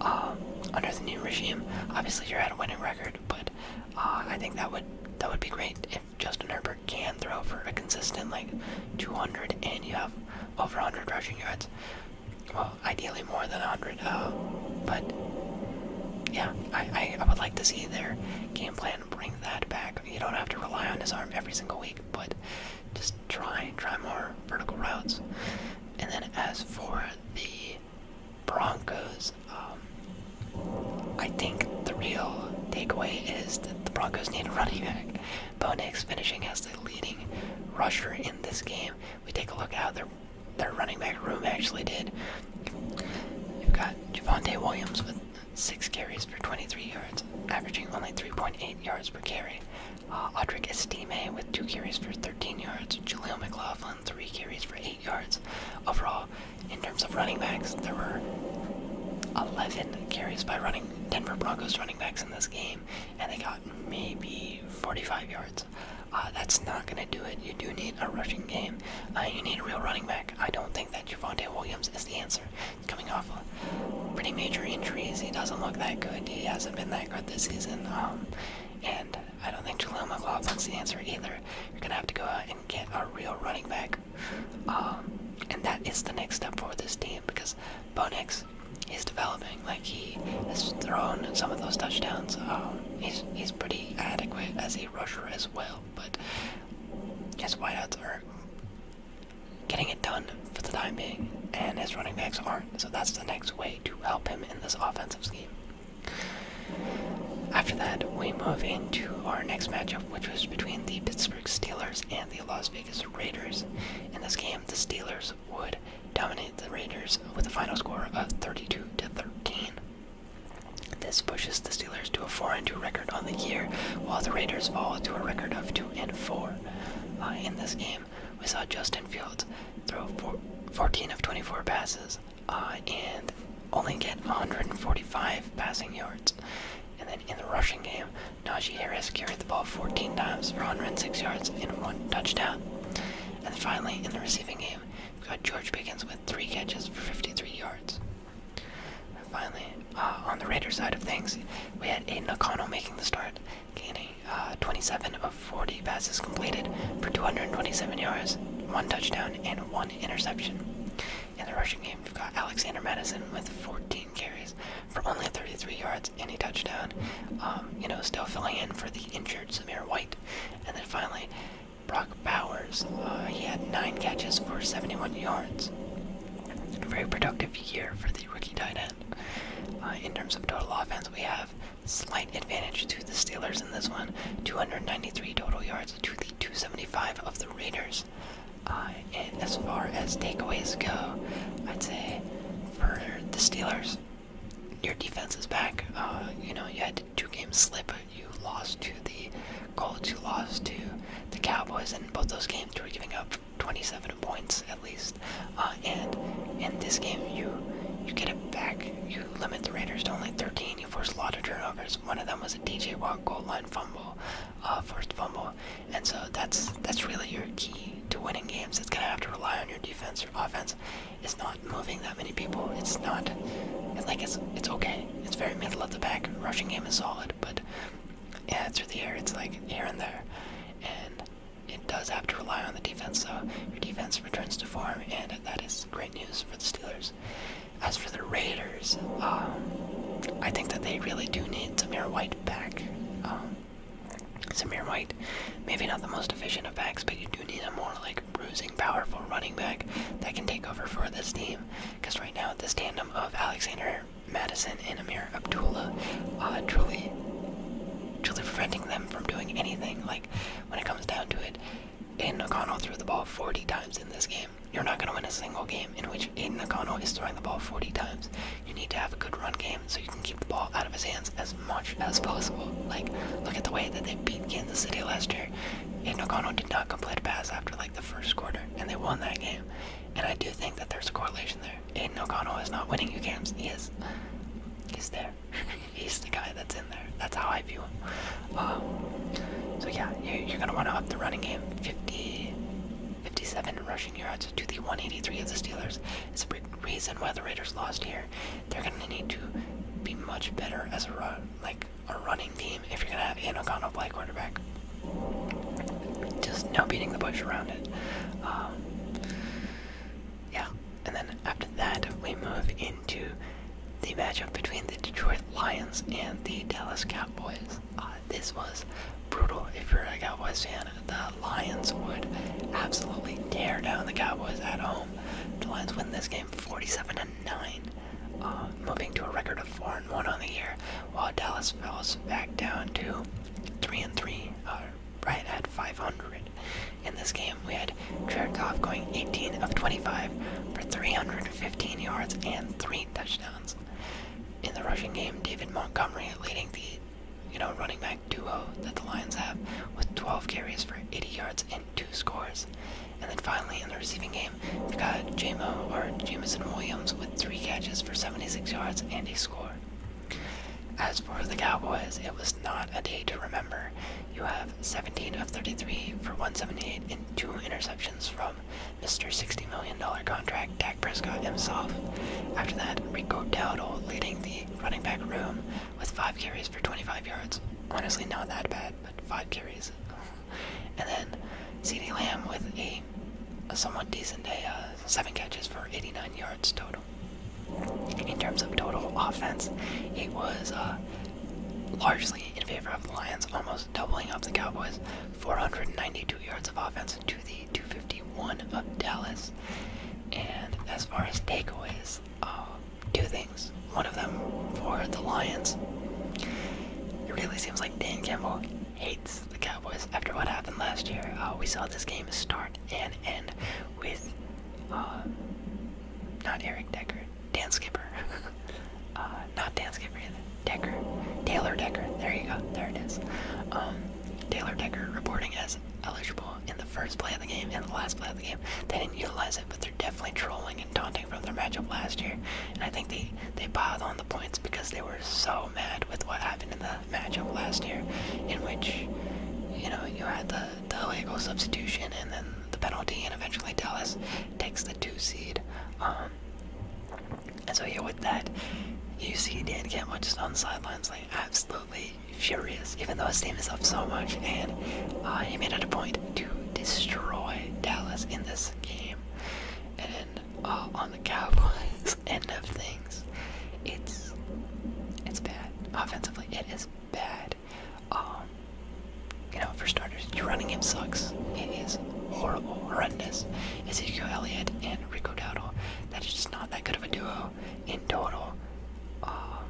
Um, under the new regime, obviously you're at a winning record, but uh, I think that would that would be great Justin Herbert can throw for a consistent like 200 and you have over 100 rushing yards, well, ideally more than 100, uh, but yeah, I, I, would like to see their game plan bring that back. You don't have to rely on his arm every single week, but just try, try more vertical routes. And then as for the Broncos, um, I think the real takeaway is that the Broncos need a running back. Bo finishing as the leading rusher in this game. We take a look at how their, their running back room actually did. You've got Javante Williams with six carries for 23 yards, averaging only 3.8 yards per carry. Uh, Audric Estime with two carries for 13 yards. Jaleel McLaughlin, three carries for 8 yards. Overall, in terms of running backs, there were 11 carries by running Denver Broncos running backs in this game, and they got maybe 45 yards. Uh, that's not going to do it. You do need a rushing game. Uh, you need a real running back. I don't think that Javante Williams is the answer. coming off pretty major injuries. He doesn't look that good. He hasn't been that great this season. Um, and I don't think Jaleel is the answer either. You're going to have to go out and get a real running back um, and that is the next step for this team because Bonex is developing. Like he has thrown some of those touchdowns. Um, he's he's pretty adequate as a rusher as well, but his wideouts are getting it done for the time being, and his running backs aren't. So that's the next way to help him in this offensive scheme. After that, we move into our next matchup, which was between the Pittsburgh Steelers and the Las Vegas Raiders. In this game, the Steelers would dominate the Raiders with a final score of 32 to 13. This pushes the Steelers to a 4 and 2 record on the year, while the Raiders fall to a record of 2 and 4. Uh, in this game, we saw Justin Fields throw 14 of 24 passes uh, and only get 145 passing yards. And then in the rushing game, Najee Harris carried the ball 14 times for 106 yards and one touchdown. And finally, in the receiving game, we got George Pickens with three catches for 53 yards. And finally, uh, on the Raider side of things, we had Aiden O'Connell making the start, gaining uh, 27 of 40 passes completed for 227 yards, one touchdown, and one interception. In the rushing game, we have got Alexander Madison with 14 carries for only 33 yards and a touchdown. Um, you know, still filling in for the injured Samir White. And then finally, Brock Bowers. Uh, he had nine catches for 71 yards. very productive year for the rookie tight end. Uh, in terms of total offense, we have slight advantage to the Steelers in this one. 293 total yards to the 275 of the Raiders. Uh, as far as takeaways go, I'd say for the Steelers, your defense is back. Uh, you know, you had two games slip. You lost to the Colts. You lost to the Cowboys, and both those games you were giving up 27 points at least. Uh, and in this game, you you get it back. You limit the Raiders to only 13. You force a lot of turnovers. One of them was a DJ Watt goal line fumble. Uh, first fumble, and so that's that's really your key to winning games. It's gonna have to rely on your defense your offense. It's not moving that many people. It's not it's like it's it's okay. It's very middle of the pack. Rushing game is solid, but yeah, through the air, it's like here and there, and it does have to rely on the defense. So your defense returns to form, and that is great news for the Steelers. As for the Raiders, um, I think that they really do need Samir White back. Um, Samir White, maybe not the most efficient of backs, but you do need a more like bruising, powerful running back that can take over for this team. Because right now, this tandem of Alexander Madison and Amir Abdullah are uh, truly, truly preventing them from doing anything. Like when it comes down to it, Aiden O'Connell threw the ball 40 times in this game. You're not going to win a single game in which Aiden O'Connell is throwing the ball 40 times. You need to have a good run game so you can keep the ball out of his hands as much as possible. Like, look at the way that they beat Kansas City last year. Aiden O'Connell did not complete a pass after like the first quarter, and they won that game. And I do think that there's a correlation there. Aiden O'Connell is not winning you games. He is. He's there. He's the guy that's in there. That's how I view him. Um, so yeah, you're, gonna want to up the running game. 50, 57 rushing yards to the 183 of the Steelers is a big reason why the Raiders lost here. They're going to need to be much better as a run, like a running team if you're going to have Anacona play quarterback. Just no beating the bush around it. Um, yeah, and then after that, we move into the matchup between the Detroit Lions and the Dallas Cowboys this was brutal. If you're a Cowboys fan, the Lions would absolutely tear down the Cowboys at home. The Lions win this game 47 9, um, moving to a record of 4 1 on the year, while Dallas falls back down to 3 3, uh, right at 500. In this game, we had Jared Goff going 18 of 25 for 315 yards and 3 touchdowns. In the rushing game, David Montgomery leading the you know, running back duo that the Lions have with 12 carries for 80 yards and two scores. And then finally in the receiving game, they got Jamo or Jamison Williams with three catches for 76 yards and a score. As for the Cowboys, it was not a day to remember. You have 17 of 33 for 178 and two interceptions from Mr. $60 million contract, Dak Prescott himself. After that, Rico Dowdle leading the running back room with 5 carries for 25 yards. Honestly, not that bad, but 5 carries. and then C.D. Lamb with a, somewhat decent day, uh, 7 catches for 89 yards total. In terms of total offense, it was uh, largely in favor of the Lions, almost doubling up the Cowboys, 492 yards of offense to the 251 of Dallas. And as far as takeaways, uh, two things. One of them for the Lions. It really seems like Dan Campbell hates the Cowboys after what happened last year. Uh, we saw this game start and end with uh, not Eric Decker, Dan Skipper. Uh, not Dan Decker, Taylor Decker. There you go. There it is. Um, Taylor Decker reporting as eligible in the first play of the game and the last play of the game. They didn't utilize it, but they're definitely trolling and taunting from their matchup last year. And I think they they piled on the points because they were so mad with what happened in the matchup last year, in which you know you had the the illegal substitution and then the penalty, and eventually Dallas takes the two seed. Um, and so here with that, you see Dan Campbell just on the sidelines, like absolutely furious, even though his team is up so much, and uh, he made it a point to destroy Dallas in this game. And uh, on the Cowboys end of things, it's it's bad offensively. It is bad. Um, you know, for starters, your running game sucks. It is horrible, horrendous. Ezekiel Elliott and Rico Dowdle. That is just not that good of a duo in total. Um,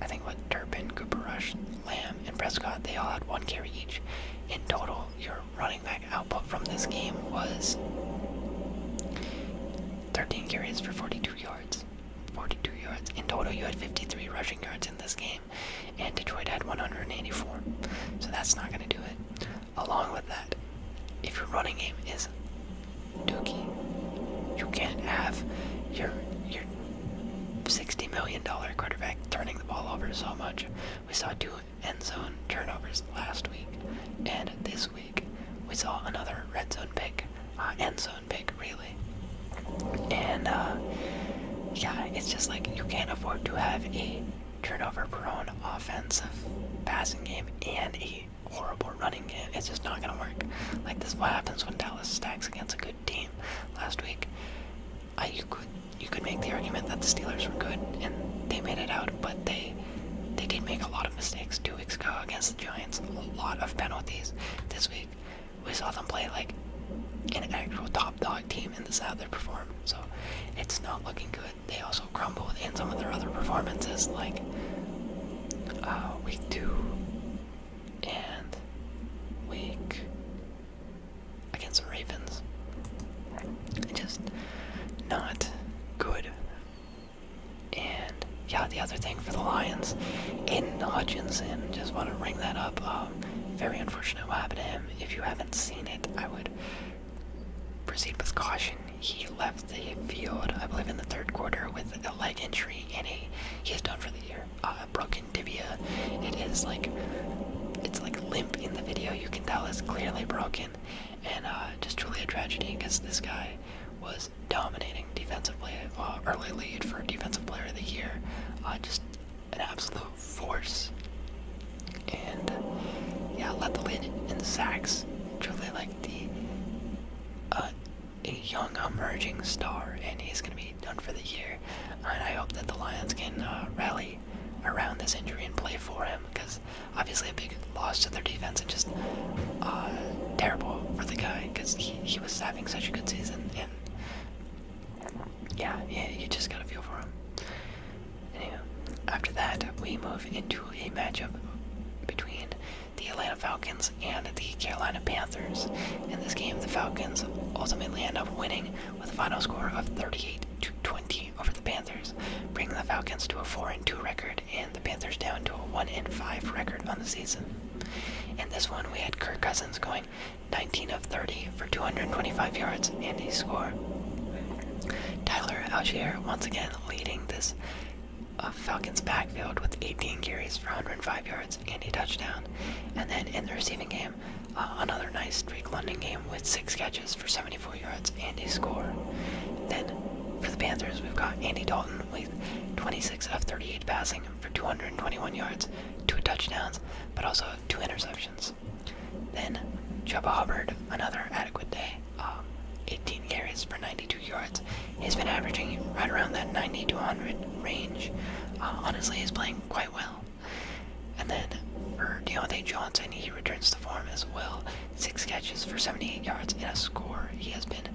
I think what Turpin, Cooper Rush, Lamb, and Prescott, they all had one carry each. In total, your running back output from this game was 13 carries for 42 yards. 42 yards. In total, you had 53 rushing yards in this game, and Detroit had 184. So that's not going to do it. Along with that, if your running game is dookie, you can't have your your sixty million dollar quarterback turning the ball over so much. We saw two end zone turnovers last week, and this week we saw another red zone pick, uh, end zone pick really. And uh, yeah, it's just like you can't afford to have a turnover prone offensive passing game and a horrible running game. It's just not going to work. Like, this is what happens when Dallas stacks against a good team last week. I, you could you could make the argument that the Steelers were good and they made it out, but they they did make a lot of mistakes two weeks ago against the Giants. A lot of penalties this week. We saw them play like an actual top dog team, and this is how they performed. So it's not looking good they also crumbled in some of their other performances, like uh, week two and week against the Ravens. Just not good. And yeah, the other thing for the Lions, Aiden Hutchinson, just want to ring that up. Um, very unfortunate what happened to him. If you haven't seen it, I would Proceed with caution. He left the field, I believe, in the third quarter with a leg injury, and he is done for the year. Uh, a broken tibia. It is like it's like limp in the video. You can tell it's clearly broken, and uh, just truly a tragedy because this guy was dominating defensively. Uh, early lead for defensive player of the year. just an absolute force. And yeah, Lethalid and Sax, truly like the uh, a young emerging star, and he's going to be done for the year. And I hope that the Lions can uh, rally around this injury and play for him, because obviously a big loss to their defense and just uh, terrible for the guy, because he, he was having such a good season. And yeah, yeah, you just got to feel for him after that, we move into a matchup between the Atlanta Falcons and the Carolina Panthers. In this game, the Falcons ultimately end up winning with a final score of 38 to 20 over the Panthers, bringing the Falcons to a 4 and 2 record and the Panthers down to a 1 and 5 record on the season. In this one, we had Kirk Cousins going 19 of 30 for 225 yards and a score. Tyler Algier once again leading this uh, Falcons backfield with 18 carries for 105 yards and a touchdown. And then in the receiving game, uh, another nice Drake London game with six catches for 74 yards and a score. Then for the Panthers, we've got Andy Dalton with 26 of 38 passing for 221 yards, two touchdowns, but also two interceptions. Then Chuba Hubbard, another adequate day, um, 18 carries for 92 yards. He's been averaging right around that 90 to 100 range. Uh, honestly, he's playing quite well. And then for Deontay Johnson, he returns to form as well. Six catches for 78 yards and a score. He has been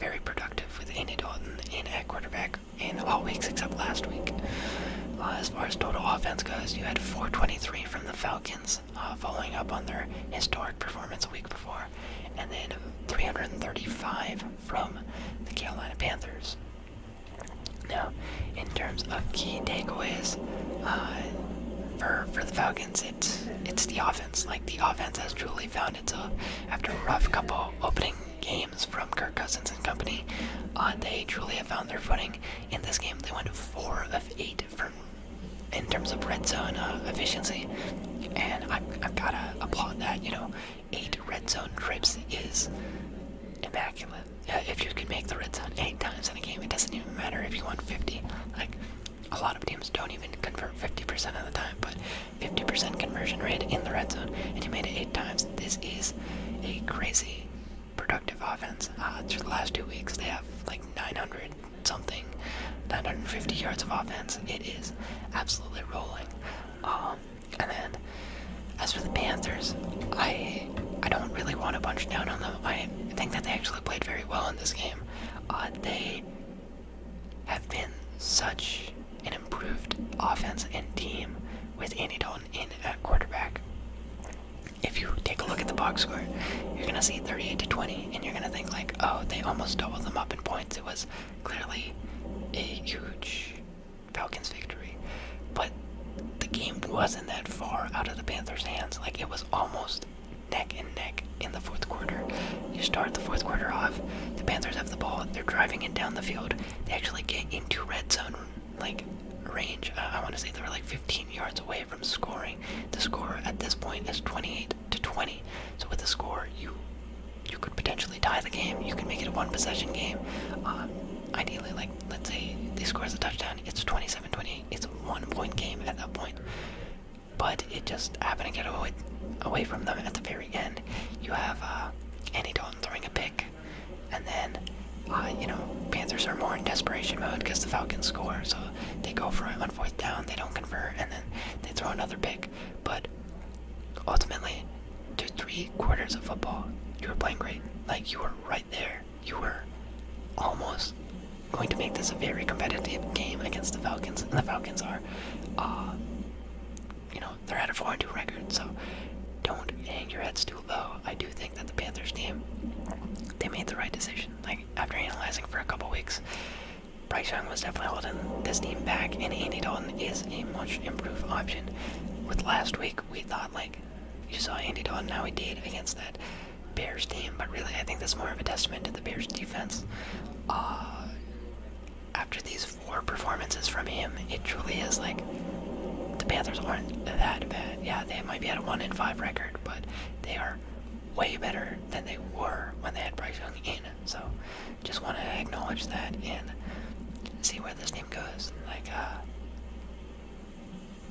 very productive with Andy Dalton in at quarterback in all weeks except last week. Uh, as far as total offense goes, you had 423 from the Falcons, uh, following up on their historic performance a week before, and then 335 from the Carolina Panthers. Now, in terms of key takeaways uh, for for the Falcons, it's it's the offense. Like the offense has truly found itself uh, after a rough couple opening games from Kirk Cousins and company. they truly have found their footing in this game. They went four of eight in terms of red zone uh, efficiency, and I've, got to applaud that. You know, eight red zone trips is immaculate. if you can make the red zone eight times in a game, it doesn't even matter if you want 50. Like, a lot of teams don't even convert 50% of the time, but 50% conversion rate in the red zone, and you made it eight times. This is a crazy productive offense. Uh, through the last two weeks, they have like 900 something, 950 yards of offense. It is absolutely rolling. Um, and then as for the Panthers, I I don't really want to punch down on them. I think that they actually played very well in this game. Uh, they have been such an improved offense and team with Andy Dalton in at quarterback if you take a look at the box score, you're gonna see 38 to 20, and you're gonna think like, oh, they almost doubled them up in points. It was clearly a huge Falcons victory, but the game wasn't that far out of the Panthers' hands. Like it was almost neck and neck in the fourth quarter. You start the fourth quarter off, the Panthers have the ball, they're driving it down the field. They actually get into red zone like range. I want to say they were like 15 yards away from scoring. The score at this point is 28 to 20. So with the score, you you could potentially tie the game. You can make it a one possession game. Um, ideally, like let's say they score as a touchdown, it's 27-28. It's a one point game at that point. But it just happened to get away away from them at the very end. You have uh, Andy Dalton throwing a pick, and then. Uh, you know, Panthers are more in desperation mode because the Falcons score, so they go for it. Unfortunately, down, they don't convert, and then they throw another pick. But ultimately, through three quarters of football, you were playing great. Like you were right there. You were almost going to make this a very competitive game against the Falcons, and the Falcons are, uh, you know, they're at a four and two record. So don't hang your heads too low. I do think that the Panthers team, they made the right decision. Like after analyzing for a couple weeks, Bryce Young was definitely holding this team back, and Andy Dalton is a much improved option. With last week, we thought, like, you saw Andy Dalton now he did against that Bears team, but really, I think that's more of a testament to the Bears defense. Uh, after these four performances from him, it truly is like the Panthers aren't that bad. Yeah, they might be at a 1 in 5 record, but they are way better than they were when they had Bryce Young in. So just want to acknowledge that and see where this team goes. Like, uh,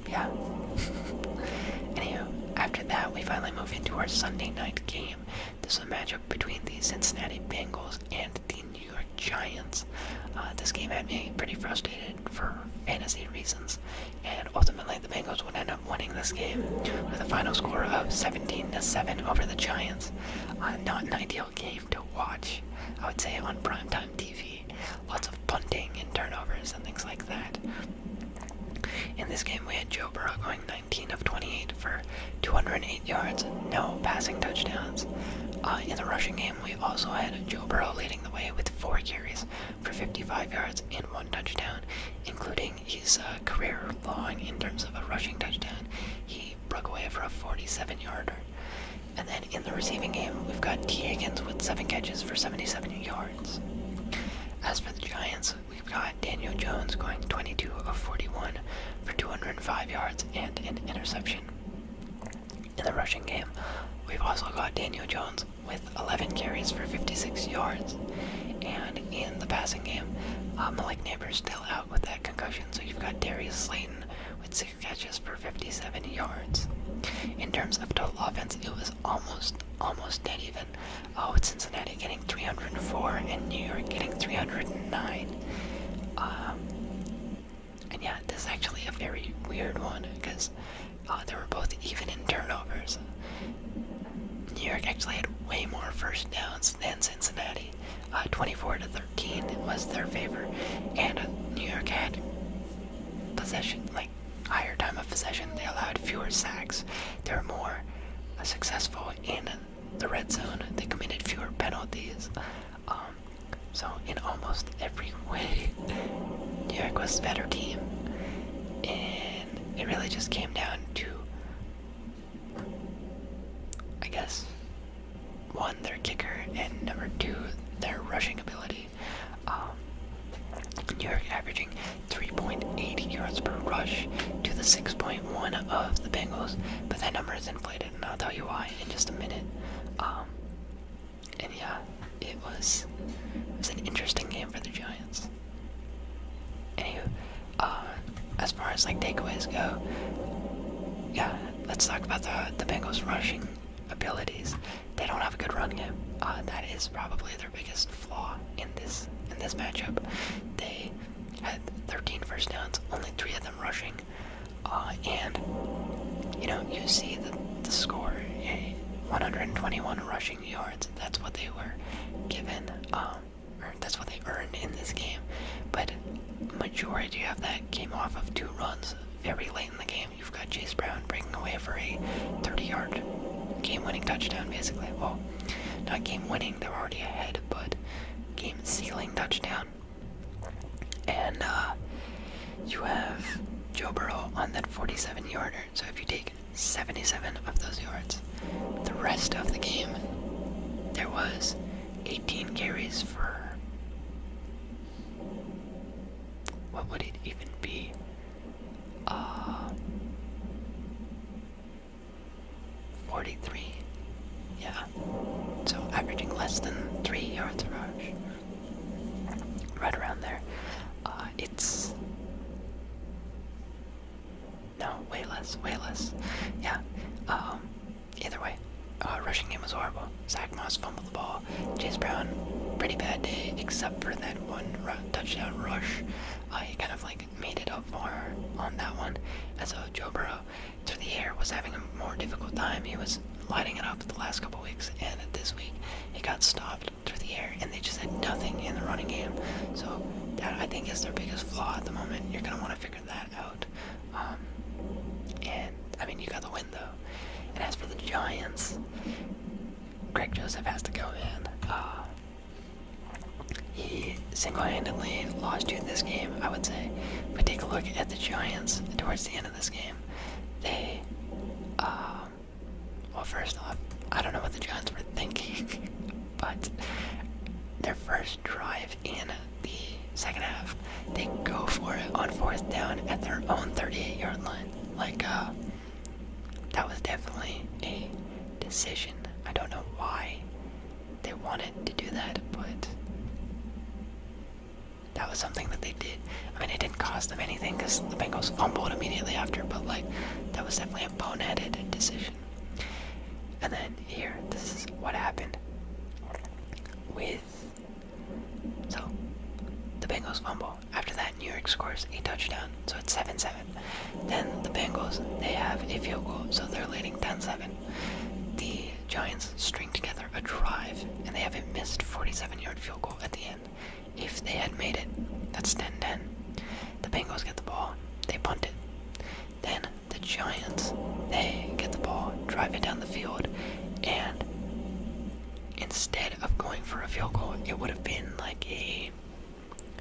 yeah. Anywho, after that, we finally move into our Sunday night game. This is a matchup between the Cincinnati Bengals and the New York Giants. Uh, this game had me pretty frustrated for fantasy reasons and ultimately the Bengals would end up winning this game with a final score of 17 to 7 over the Giants. Uh, not an ideal game to watch, I would say, on primetime TV. Lots of punting and turnovers and things like that. In this game, we had Joe Burrow going 19 of 28 for 208 yards, no passing touchdowns. Uh, in the rushing game, we also had Joe Burrow leading the way with four carries for 55 yards and one touchdown, including ending his uh, career long in terms of a rushing touchdown. He broke away for a 47 yarder. And then in the receiving game, we've got T. Higgins with seven catches for 77 yards. As for the Giants, we've got Daniel Jones going 22 of 41 for 205 yards and an interception. In the rushing game, we've also got Daniel Jones with 11 carries for 56 yards. And in the passing game, uh, Malik Neighbors still out with that concussion, so you've got Darius Slayton with 6 catches for 57 yards. In terms of total offense, it was almost, almost dead even, Oh, with Cincinnati getting 304 and New York getting 309. Um, and yeah, this is actually a very weird one because uh, they were both even in turnovers. New York actually had way more first downs than Cincinnati. Uh, 24 to 13 was their favor, and New York had possession, like higher time of possession. They allowed fewer sacks. They were more successful in the red zone. They committed fewer penalties. Um, so in almost every way, New York was the better team it really just came down to, I guess, one, their kicker, and number two, their rushing ability. Um, New York averaging 3.8 yards per rush to the 6.1 of the Bengals, but that number is inflated, and I'll tell you why in just a minute. Um, and yeah, it was it was an interesting game for the Giants guys. Uh, as far as like takeaways go, yeah, let's talk about the the Bengals rushing abilities. They don't have a good run game. Uh, that is probably their biggest flaw in this in this matchup. They had 13 first downs, only three of them rushing, uh, and you know you see the the score, eh, 121 rushing yards. That's what they were given, um, or that's what they earned in this game. But majority of that came off of two runs very late in the game. You've got Chase Brown breaking away for a 30-yard game-winning touchdown, basically. Well, not game-winning; they are already ahead, but game-sealing touchdown. And uh, you have Joe Burrow on that 47-yarder. So if you take 77 of those yards. The rest of the game, there was 18 carries for what would it even be? Uh, 43. Yeah. So averaging less than 3 yards a rush. Right around there. Uh, it's no, way less, way less. Yeah. Um, either way, uh, rushing game was horrible. Zach Moss fumbled the ball. Chase Brown, pretty bad day, except for that one touchdown rush. Uh, he kind of like made it up for on that one. As so Joe Burrow, through the air, was having a more difficult time. He was lighting it up the last couple weeks, and this week he got stopped through the air and they just had nothing in the running game. So that I think is their biggest flaw at the moment. You're gonna want to figure that out. Um, and I mean, you got the win though. And as for the Giants, Greg Joseph has to go in. Uh, he single-handedly lost you this game, I would say. But take a look at the Giants towards the end of this game. They, um, well, first off, I don't know what the Giants were thinking. but their first drive in the second half, they go for it on fourth down at their own 38 yard line. Like, uh, that was definitely a decision. I don't know why they wanted to do that, but that was something that they did. I mean, it didn't cost them anything because the Bengals fumbled immediately after, but like, that was definitely a boneheaded decision. And then here, this is what happened with so the Bengals fumble. After that, New York scores a touchdown, so it's 7-7. Then the Bengals they have a field goal, so they're leading 10-7. The Giants string together a drive, and they have a missed 47-yard field goal at the end. If they had made it, that's 10-10. The Bengals get the ball, they punt it. Then the Giants, they get the ball, drive it down the field, and instead of going for a field goal, it would have been like a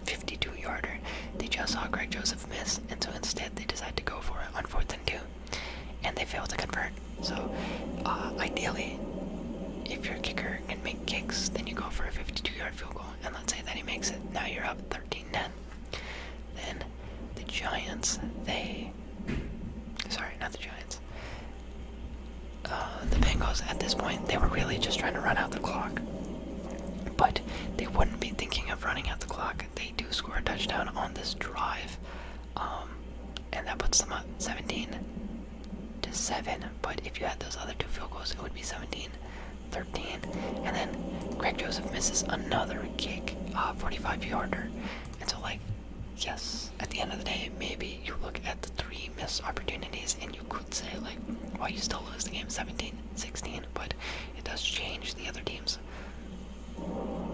52 yarder. They just saw Greg Joseph miss, and so instead they decide to go for it on fourth and two, and they fail to convert. So, uh, ideally, if your kicker can make kicks, then you go for a 52 yard field goal and let's say that he makes it. Now you're up 13-10. Then the Giants, they sorry, not the Giants. Uh, the Bengals at this point, they were really just trying to run out the clock. But they wouldn't be thinking of running out the clock. They do score a touchdown on this drive. Um, and that puts them up 17 to 7. But if you had those other two field goals, it would be 17 13. And then Greg Joseph misses another kick, uh, 45 yarder. And so, like, yes, at the end of the day, maybe you look at the three missed opportunities and you could say, like, well, you still lose the game 17 16, but it does change the other team's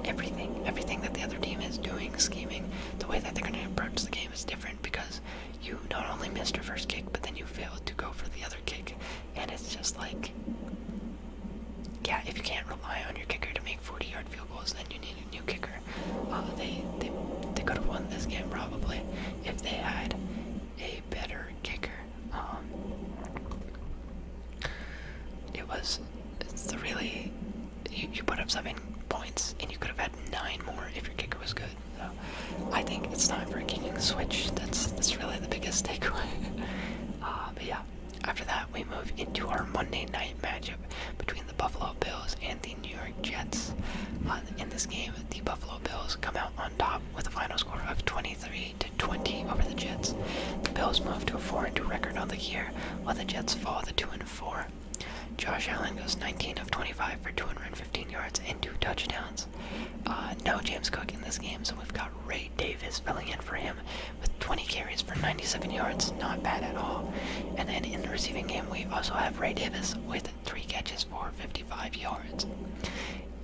everything. Everything that the other team is doing, scheming, the way that they're going to approach the game is different because you not only missed your first kick, but then you failed to go for the other kick and it's just like, yeah, if you can't rely on your kicker to make 40-yard field goals, then you need a new kicker. Uh, they they they could have won this game probably if they had a better kicker. Um, it was it's really you put up seven points, and you could have had nine more if your kicker was good. So uh, I think it's time for a kicking switch. That's that's really the biggest takeaway. Uh, but yeah, after that we move into our Monday night matchup between the Buffalo Bills and the New York Jets. Uh, in this game, the Buffalo Bills come out on top with a final score of 23 to 20 over the Jets. The Bills move to a 4-2 record on the year, while the Jets fall to 2 4. Josh Allen goes 19 of 25 for 215 yards and two touchdowns. Uh, no James Cook in this game, so we've got Ray Davis filling in for him with 20 carries for 97 yards. Not bad at all. And then in the receiving game, we also have Ray Davis with 3 catches for 55 yards.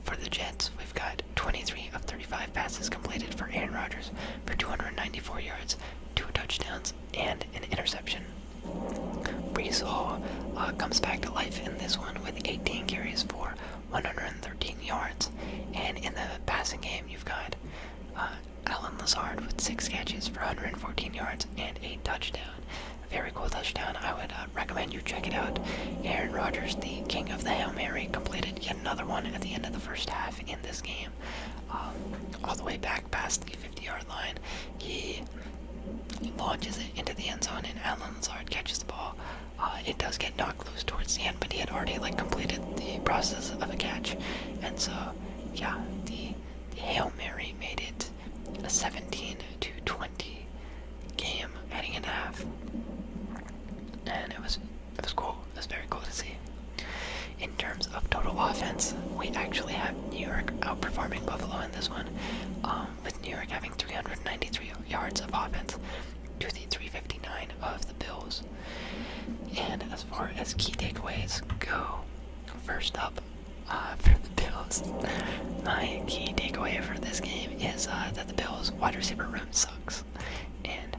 For the Jets, we've got 23 of 35 passes completed for Aaron Rodgers for 294 yards, 2 touchdowns, and an interception. Brees uh, comes back to life in this one with 18 carries for 113 yards. And in the passing game, you've got uh, Alan Lazard with six catches for 114 yards and a touchdown. very cool touchdown. I would uh, recommend you check it out. Aaron Rodgers, the king of the Hail Mary, completed yet another one at the end of the first half in this game. Um, all the way back past the 50 yard line, he launches it into the end zone, and Alan Lazard catches the ball uh, it does get knocked loose towards the end, but he had already like completed the process of a catch, and so yeah, the, the Hail Mary made it a 17 to 20 game heading in half, and it was it was cool. It was very cool to see. In terms of total offense, we actually have New York outperforming Buffalo in this one. Um, with New York having 393 yards of offense to the 359 of the Bills. And as far as key takeaways go, first up uh, for the Bills, my key takeaway for this game is uh, that the Bills' wide receiver room sucks. And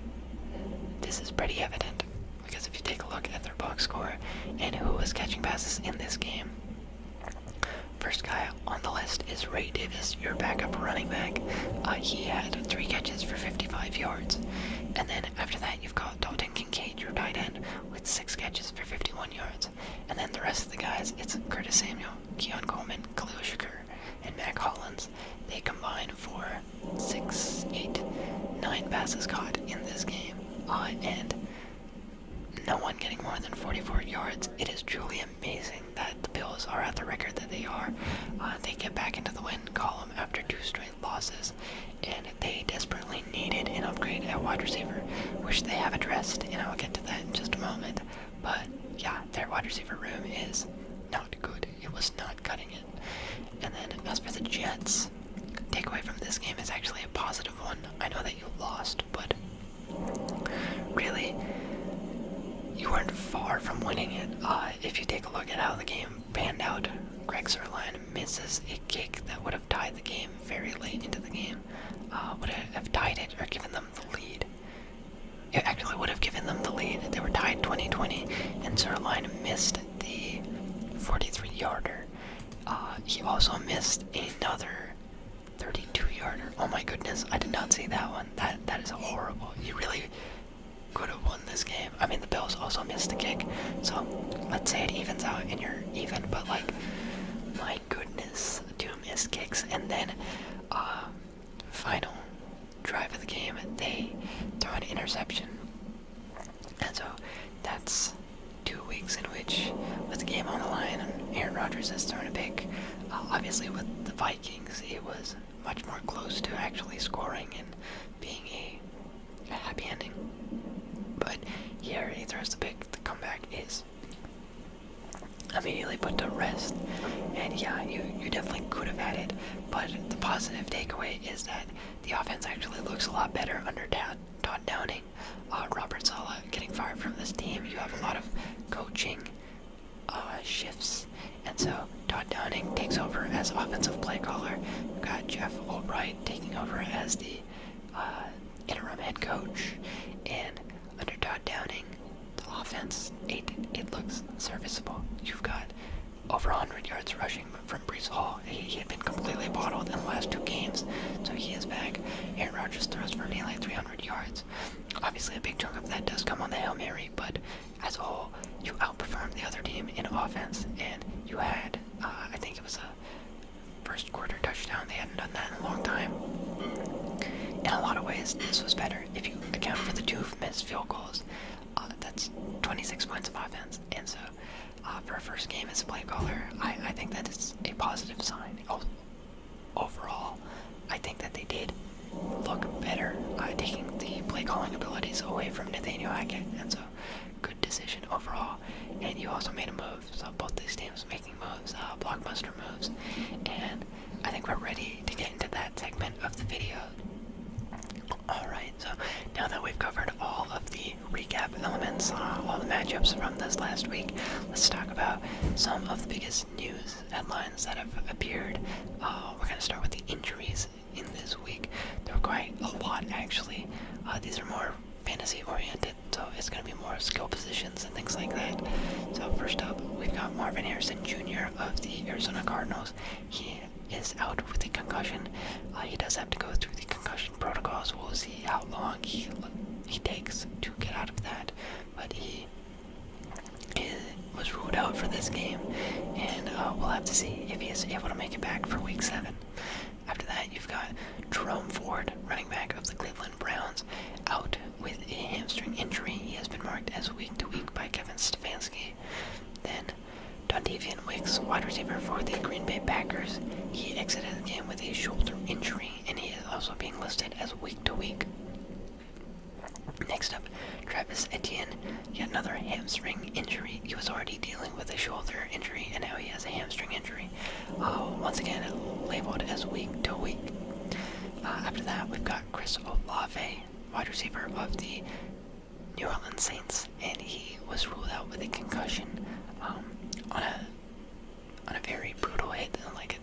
this is pretty evident because if you take a look at their box score and who was catching passes in this game, First guy on the list is Ray Davis, your backup running back. Uh, he had three catches for 55 yards. And then after that, you've got Dalton Kincaid, your tight end, with six catches for 51 yards. And then the rest of the guys, it's Curtis Samuel, Keon Coleman, Khalil Shakur, and Mac Hollins. They combine for six, eight, nine passes caught in this game. Uh, and no one getting more than 44 yards. It is Julian amazing that the Bills are at the record that they are. Uh, they get back into the win column after two straight losses, and they desperately needed an upgrade at wide receiver, which they have addressed, and I'll get to that in just a moment. But yeah, their wide receiver room is not good. It was not cutting it. And then as for the Jets, takeaway from this game is actually a positive one. I know that you lost, but really, you weren't far from winning it. Uh, if you take a look at how the game panned out, Greg Zerline misses a kick that would have tied the game very late into the game. Uh, would have tied it or given them the lead. It actually would have given them the lead. They were tied 20-20, and Zerline missed the 43-yarder. Uh, he also missed another 32 yarder. Oh my goodness, I did not see that one. That that is horrible. You really could have won this game. I mean the Bills also missed a kick. So let's say it evens out and you're even, but like my goodness, two missed kicks and then uh, final drive of the game they throw an interception. And so that's two weeks in which with the game on the line Aaron Rodgers has thrown a pick. Uh, obviously with the Vikings it was much more close to actually scoring and being a, happy ending. But here, he throws the pick, the comeback is immediately put to rest. And yeah, you, you definitely could have had it, but the positive takeaway is that the offense actually looks a lot better under Todd, Downing. Uh, Robert Sala getting fired from this team. You have a lot of coaching uh, shifts. And so Todd Downing takes over as offensive play caller. We've got Jeff Albright taking over as the uh, interim head coach. And under Todd Downing, the offense, it, it looks serviceable. You've got over 100 yards rushing from Brees Hall. He, he had been completely bottled in the last two games, so he is back. Aaron Rodgers throws for nearly 300 yards. Obviously, a big chunk of that does come on the Hail Mary, but as a whole, you outperformed the other team in offense, and you had, uh, I think it was a first quarter touchdown. They hadn't done that in a long time. In a lot of ways, this was better. If you account for the two missed field goals, uh, that's 26 points of offense. And so, uh, for a first game as a play caller, I, I think that is a positive sign. Oh, overall, I think that they did look better, uh, taking the play calling abilities away from Nathaniel Hackett, and so good decision overall. And you also made a move, so both these teams making moves, uh, blockbuster moves, and I think we're ready to get into that segment of the video. Alright, so now that we've covered all of the recap elements, uh, all the matchups from this last week, let's talk about some of the biggest news headlines that have appeared. Uh, we're going to start with the injuries in this week. There were quite a lot, actually. Uh, these are more fantasy oriented, so it's going to be more skill positions and things like that. So, first up, we've got Marvin Harrison Jr. of the Arizona Cardinals. He is out with a concussion. Uh, he does have to go through the concussion protocols. We'll see how long he, he takes to get out of that. But he he was ruled out for this game, and uh, we'll have to see if he is able to make it back for Week Seven. After that, you've got Jerome Ford, running back of the Cleveland Browns, out with a hamstring injury. He has been marked as week to week by Kevin Stefanski. Then, Dontavian Wicks, wide receiver for the Green Bay Packers, he exited the game with a shoulder injury, and he is also being listed as week to week. Next up, Travis Etienne, yet another hamstring injury. He was already dealing with a shoulder injury, and now he has a hamstring injury. Oh, once again, labeled as week to week. Uh, after that, we've got Chris Olave, wide receiver of the New Orleans Saints, and he was ruled out with a concussion um, on a on a very brutal hit,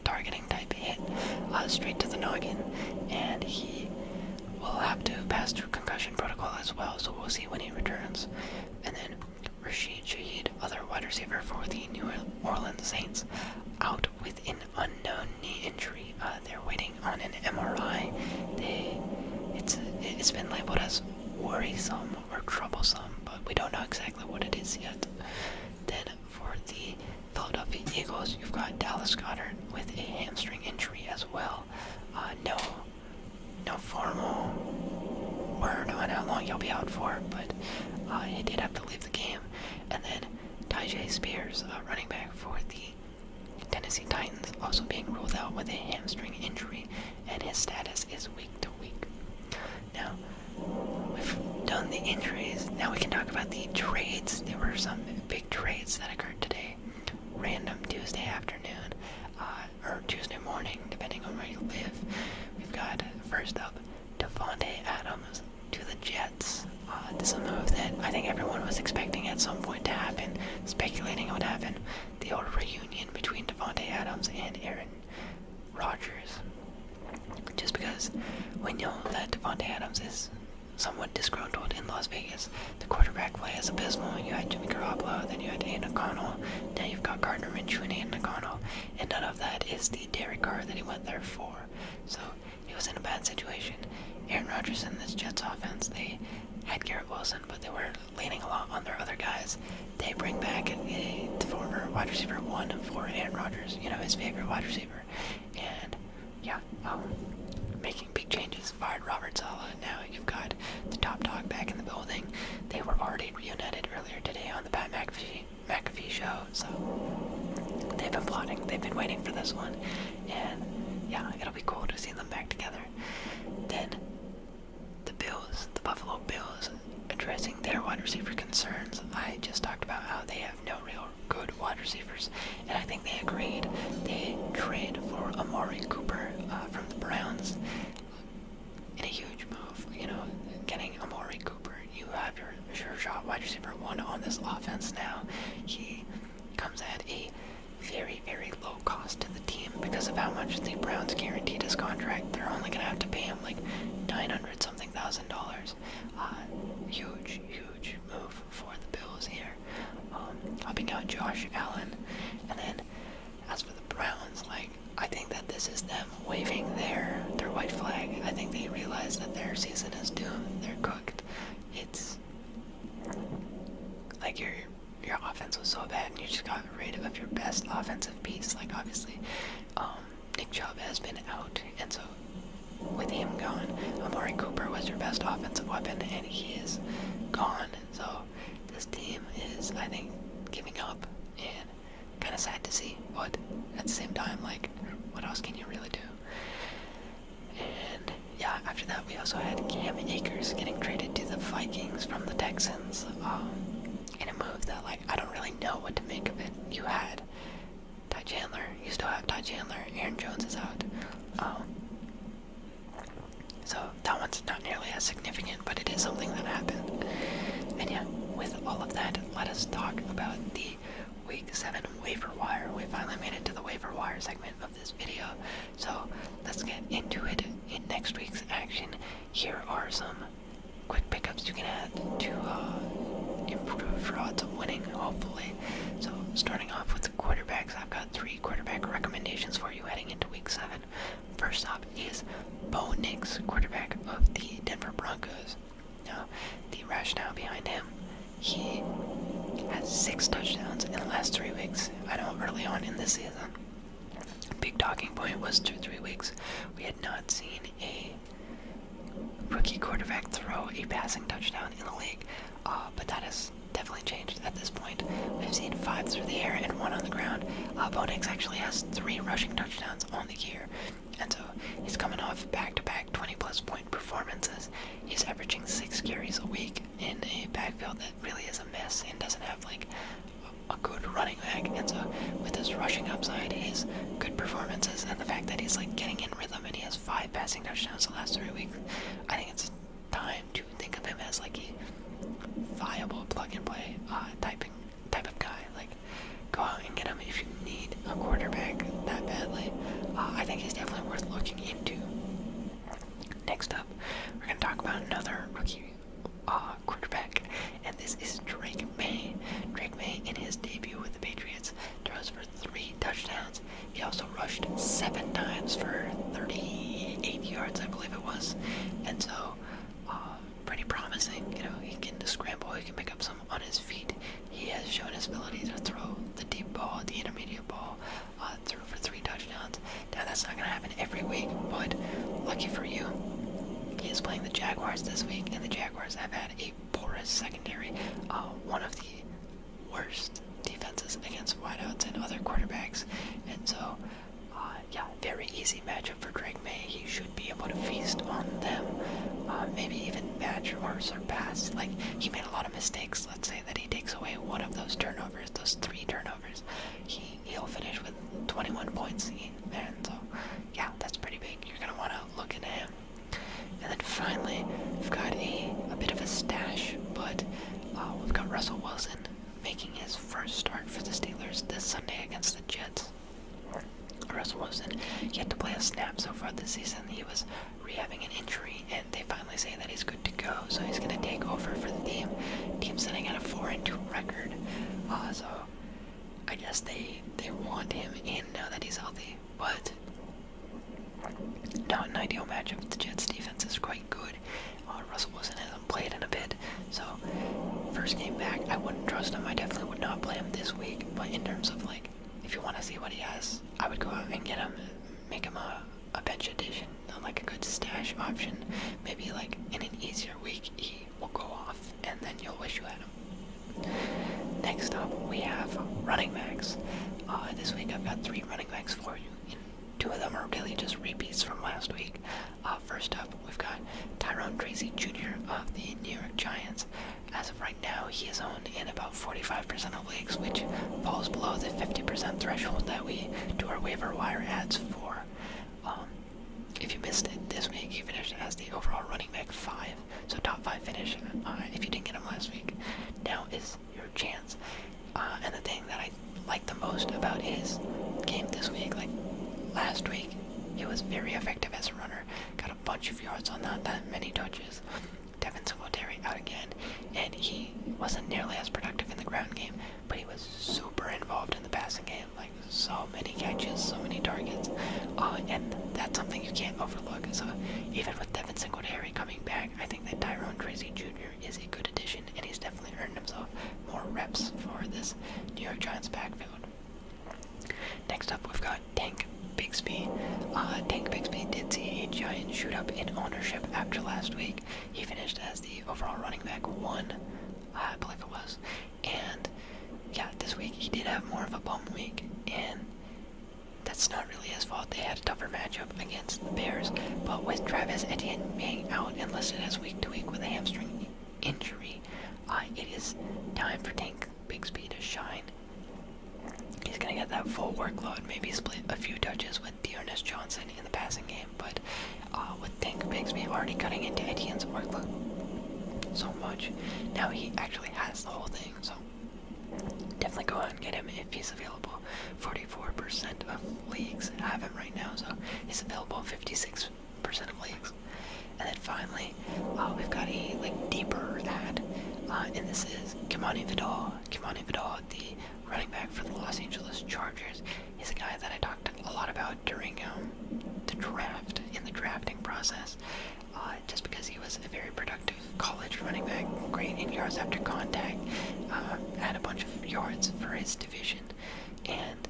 targeting type hit uh, straight to the noggin, and he will have to pass through concussion protocol as well. So we'll see when he returns. And then Rashid Shaheed, other wide receiver for the New Orleans Saints, out with an unknown knee injury. Uh, they're waiting on an MRI. it's it's been labeled as worrisome or troublesome, but we don't know exactly what it is yet. Then for the Philadelphia Eagles, you've got Dallas Goddard with a hamstring injury as well. Uh, no, no formal word on how long he'll be out for, but uh, he did have to leave the game. And then Tajay Spears, running back for the Tennessee Titans, also being ruled out with a hamstring injury, and his status is week to week. Now, we done the injuries. Now we can talk about the trades. There were some big big trades that occurred today. Random Tuesday afternoon, uh, or Tuesday morning, depending on where you live. We've got first up Devonte Adams to the Jets. Uh, this is a move that I think everyone was expecting at some point to happen, speculating it would happen. The old reunion between Devonte Adams and Aaron Rodgers. Just because we know that Devonte Adams is somewhat disgruntled in Las Vegas. The quarterback play is abysmal. You had Jimmy Garoppolo, then you had Aiden O'Connell, now you've got Gardner Minshew and Aiden O'Connell, and none of that is the Derek Carr that he went there for. So he was in a bad situation. Aaron Rodgers and this Jets offense, they had Garrett Wilson, but they were leaning a lot on their other guys. They bring back the former wide receiver one for Aaron Rodgers, you know, his favorite wide receiver, and yeah, Oh, making big changes. Fired Robert Sala. Now you've got the top dog back in the building. They were already reunited earlier today on the Pat McAfee, McAfee show, so they've been plotting. They've been waiting for this one, and yeah, it'll be cool to see them back together. Then the Bills, the Buffalo Bills, addressing their wide receiver concerns. I just talked about how they have no real good wide receivers, and I think they agreed. They trade for Amari Cooper uh, from the Browns. In a huge move, you know, getting Amari Cooper. You have your sure shot wide receiver one on this offense now. He comes at a very, very low cost to the team because of how much the Browns guaranteed his contract. They're only gonna have to pay him like nine hundred something thousand dollars. Uh, huge, huge move for the Bills here. I'll be out Josh Allen. And then as for the Browns, like I think that this is them waving their their white flag. I think they realize that their season is doomed. They're cooked. It's like your your offense was so bad, and you just got rid of your best offensive piece. Like obviously, um, Nick Chubb has been out, and so with him gone, Amari Cooper was your best offensive weapon, and he is gone. So this team is, I think, giving up, and kind of sad to see. But at the same time, like, what else can you really do? And yeah, after that, we also had Cam Akers getting traded to the Vikings from the Texans um, in a move that, like, I don't really know what to make of it. You had Ty Chandler. You still have Ty Chandler. Aaron Jones is out. Um, so that one's not nearly as significant, but it is something that happened. And yeah, with all of that, let us talk about the Week 7 waiver wire. We finally made it to the waiver wire segment of this video. So let's get into it in next week's action. Here are some quick pickups you can add to uh, improve your odds of winning, hopefully. So starting off with the quarterback I've got three quarterback recommendations for you heading into week seven. First up is Bo Nix, quarterback of the Denver Broncos. Now, the rationale behind him, he has six touchdowns in the last three weeks. I know early on in the season, big talking point was two, three weeks. We had not seen a rookie quarterback throw a passing touchdown in the league. Uh, but that has definitely changed at this point. We've seen five through the air and one on the ground. Uh, Bonix actually has three rushing touchdowns on the year, and so he's coming off back-to-back 20 point performances. He's averaging six carries a week in a backfield that really is a mess and doesn't have like a good running back, and so with his rushing upside, his good performances, and the fact that he's like getting in rhythm and he has five passing touchdowns the last three weeks, I think it's time to think of him as like a viable plug-and-play uh, typing type of guy. Like, go out and get him if you need a quarterback that badly. Uh, I think he's definitely worth looking into. Next up, we're gonna talk about another rookie uh, quarterback, and this is Drake May. Drake May, in his debut with the Patriots, throws three touchdowns. He also rushed seven times for 38 yards, I believe it was. And so, uh, pretty promising. You know, he can scramble, he can pick up some on his feet. He has shown his ability to throw the deep ball, the intermediate ball, uh, through for three touchdowns. Now, that's not going to happen every week, but lucky for you, he is playing the Jaguars this week, and the Jaguars have had a porous secondary. Uh, one of the worst defenses against wideouts and other quarterbacks. And so, uh, yeah, very easy matchup for Drake May. He should be able to feast on them, uh, maybe even match or surpass. Like, he made a lot of mistakes. Let's say that he takes away one of those turnovers, those three turnovers. He, he'll finish with 21 points. And so, yeah, that's pretty big. You're going to want to look into him. And then finally, we've got a, a bit of a stash, but uh, we've got Russell Wilson making his first start for the Steelers this Sunday against the Jets. Russell Wilson he had to play a snap so far this season. He was rehabbing an injury, and they finally say that he's good to go, so he's going to take over for the team. Team sitting at a four and two record, uh, so I guess they they want him in now that he's healthy. But not an ideal matchup. The Jets' defense is quite good. Uh, Russell Wilson hasn't played in a bit, so first game back, I wouldn't trust him. I definitely would not play him this week. But in terms of like, if you want to see what he has, I would go out and get him, make him a, a bench addition, like a good stash option. Maybe like in an easier week, he will go off, and then you'll wish you had him. Next up, we have running backs. Uh, this week I've got three running backs for you Two of them are really just repeats from last week. Uh, first up, we've got Tyrone Tracy Jr. of the New York Giants. As of right now, he is owned in about 45% of leagues, which falls below the 50% threshold that we do our waiver wire ads for. Um, if you missed it this week, he finished as the overall running back five, so top five finish. Uh, if you didn't get him last week, now is your chance. Uh, and the thing that I like the most about his game this week, like last week, he was very effective as a runner. Got a bunch of yards on that, that many touches. Devin Singletary out again, and he wasn't nearly as productive in the ground game, but he was super involved in the passing game. Like so many catches, so many targets, uh, and that's something you can't overlook. So even with Devin Singletary coming back, I think that Tyrone Tracy Jr is a good addition, and he's definitely earned himself more reps for this New York Giants backfield. Next up, we've got Tank Bigsby. Uh, Tank Bigsby did see a giant shoot up in ownership after last week. He finished as the overall running back one, I believe it was. And yeah, this week he did have more of a bum week, and that's not not really his fault. They had a tougher matchup against the Bears, but with Travis Etienne being out and listed as week to week with a hamstring injury, uh, it is time for Tank Bigsby to shine. He's going to get that full workload, maybe split a few touches with Dearness Johnson in the passing game, but uh, with Tank Bigsby already cutting into Etienne's workload so much, now he actually has the whole thing, so definitely go out and get him if he's available. 44% of leagues have him right now, so he's available 56% of leagues. And then finally, uh, we've got a like deeper ad, uh, and this is Kimani Vidal. Kimani Vidal, the running back for the Los Angeles Chargers, he's a guy that I talked a lot about during um, the draft in the drafting process, uh, just because he was a very productive college running back, great in yards after contact, uh, had a bunch of yards for his division, and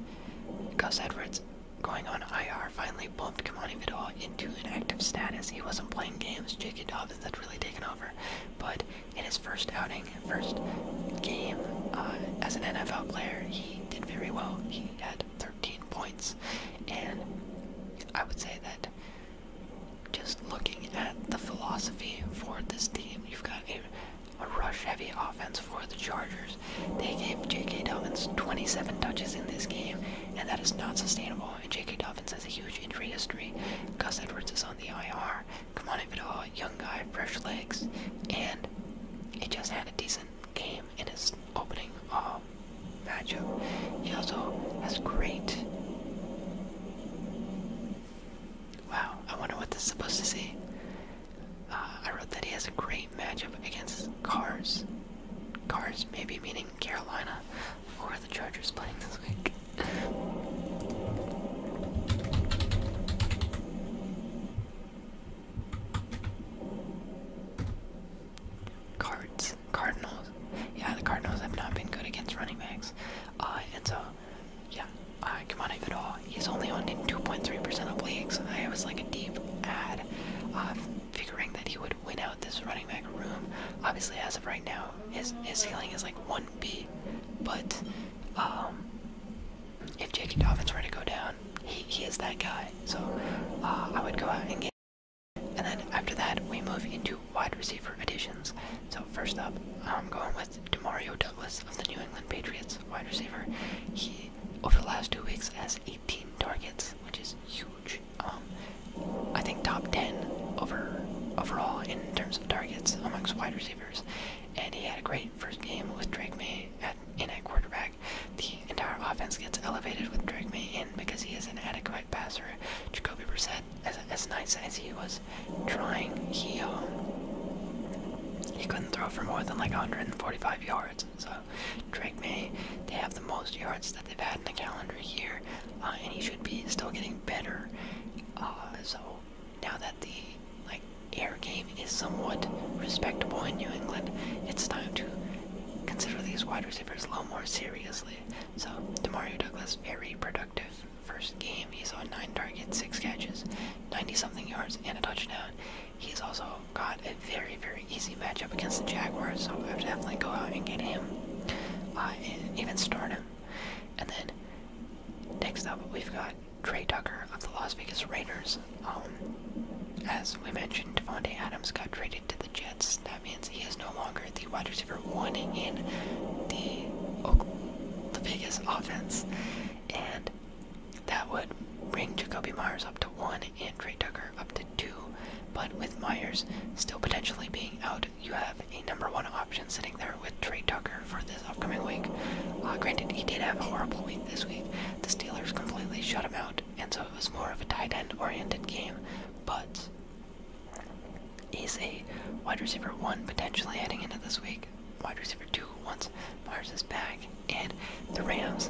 Gus Edwards going on IR finally bumped Kamani Vidal into an active status. He wasn't playing games, J.K. Dobbins had really taken over, but in his first outing, first game uh, as an NFL player, he did very well. He had 13 points, and I would say that just looking at the philosophy for this team, you've got a, rush heavy offense for the Chargers. They gave J.K. Dobbins 27 touches in this game, and that is not sustainable. And J.K. Dobbins has a huge injury history. Gus Edwards is on the IR. Kamani Vidal, young guy, fresh legs, and he just had a decent game in his opening uh, matchup. He also has great Wow, I wonder what this is supposed to say. Uh, I wrote that he has a great matchup against Cars. Cars, maybe meaning Carolina, or the Chargers playing this week. Cards, Cardinals. Yeah, the Cardinals have not been good against running backs, uh, and so yeah, uh, Kamani Vidal, he's only on in 2.3% of leagues. I was like a deep ad, uh, figuring that he would win out this running back room. Obviously, as of right now, his, his ceiling is like 1B, but um, if J.K. Dobbins were to go down, he, he is that guy. So uh, I would go out and get and then after that, we move into wide receiver additions. So first up, I'm going with with Demario Douglas of the New England Patriots, wide receiver. He, over the last two weeks, has 18 targets, which is huge. Um, I think top 10 over overall in terms of targets amongst wide receivers. And he had a great first game with Drake May at, in at quarterback. The entire offense gets elevated with Drake May in because he is an adequate passer. Jacoby Brissett as, nice as he was trying, to, um, uh, he couldn't throw for more than like 145 yards. So Drake May, they have the most yards that they've had in the calendar year, uh, and he should be still getting better. Uh, so now that the like air game is somewhat respectable in New England, it's time to consider these wide receivers a little more seriously. So Demario Douglas, very productive first game, he's on 9 targets, 6 catches, 90 something yards, and a touchdown. He's also got a very, very easy matchup against the Jaguars, so I would definitely go out and get him uh, even start him. And then next up, we've got Trey Tucker of the Las Vegas Raiders. Um, as we mentioned, Devontae Adams got traded to the Jets. That means he is no longer the wide receiver one in the the biggest offense, and that would bring Jacoby Myers up to one and Trey Tucker up to two. But with Myers still potentially being out, you have a number one option sitting there with Trey Tucker for this upcoming week. Uh, granted, he did have a horrible week this week. The Steelers completely shut him out, and so it was more of a tight end oriented game. But He's a wide receiver one potentially heading into this week. Wide receiver two once Mars is back. And the Rams,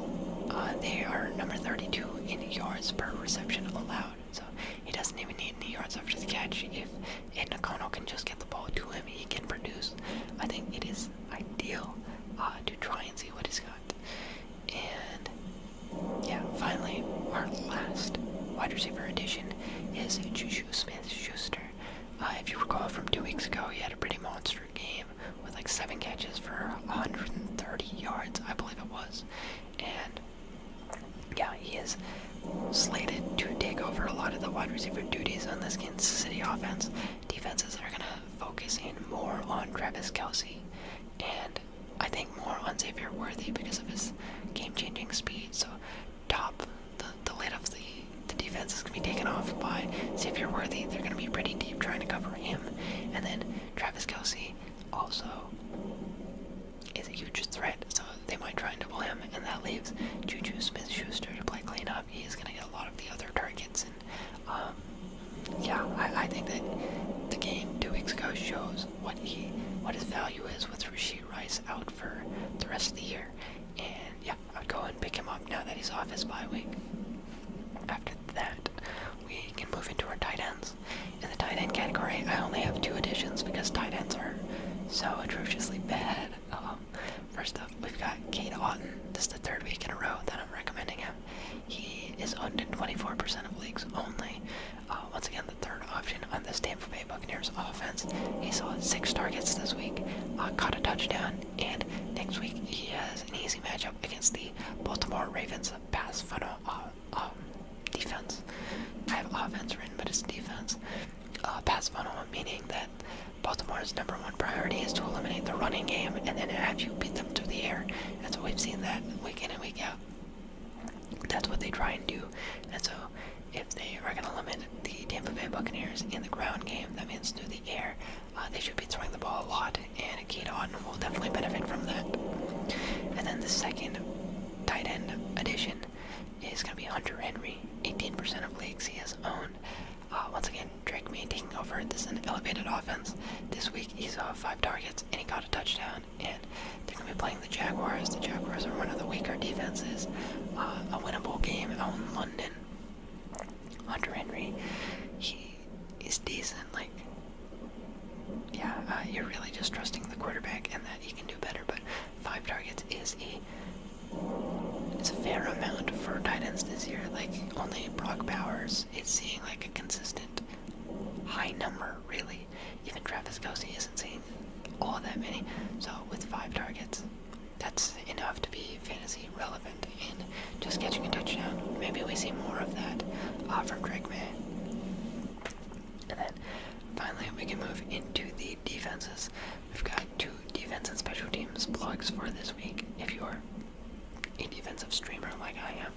uh, they are number 32 in yards per reception allowed. So he doesn't even need any yards after the catch. If Ed Nakano can just get the ball to him, he can produce. I think it is ideal uh, to try and see what he's got. And yeah, finally, our last wide receiver addition is Juju Smith Schuster. Uh, if you recall from two weeks ago, he had a pretty monster game with like seven catches for 130 yards, I believe it was. And yeah, he is slated to take over a lot of the wide receiver duties on this Kansas City offense. Defenses are gonna focus in more on Travis Kelsey and I think more on Xavier Worthy because of his game-changing speed. So top, the, the lid of the, the defense is going to be taken off by see if you're Worthy. They're going to be pretty deep trying to cover him. And then Travis Kelsey also is a huge threat, so they might try and double him. And that leaves Juju Smith Schuster to play cleanup. He's going to get a lot of the other targets. And um, yeah, I, I think that the game two weeks ago shows what he what his value is with Rasheed Rice out for the rest of the year. And yeah, I'd go and pick him up now that he's off his bye week. After that, we can move into our tight ends. In the tight end category, I only have two additions because tight ends are so atrociously bad. Um, first up, we've got Kate Otten. This is the third week in a row that I'm recommending him. He is owned in 24% of leagues only. Uh, once again, the third option on this Tampa Bay Buccaneers offense. He saw six targets this week, uh, caught a touchdown, and next week he has an easy matchup against the Baltimore Ravens pass funnel uh, uh, defense. I have offense written, but it's defense. Uh, pass funnel meaning that Baltimore's number one priority is to eliminate the running game and then have you beat them to the air. And so we've seen that week in and week out. That's what they try and do. And so if they are going to limit the Tampa Bay Buccaneers in the ground game, that means through the air, uh, they should be throwing the ball a lot, and Kate Otten will definitely benefit from that. And then the second tight end addition is going to be Hunter Henry. 18% of leagues he has owned. Uh, once again, Drake May taking over. This is an elevated offense. This week he saw five targets and he got a touchdown. And they're going to be playing the Jaguars. The Jaguars are one of the weaker defenses. Uh, a winnable game out in London. Hunter Henry, he is decent. Like, yeah, uh, you're really just trusting the quarterback and that he can do better. But five targets is a fair amount for tight ends this year. Like, only Brock Powers is seeing like a consistent high number. Really, even Travis Kelsey isn't seeing all that many. So with five targets, that's enough to be fantasy relevant and just catching a touchdown. Maybe we see more of that uh, from Drake May. And then finally, we can move into the defenses. We've got two defense and special teams blogs for this week. If you're a defensive streamer like I am,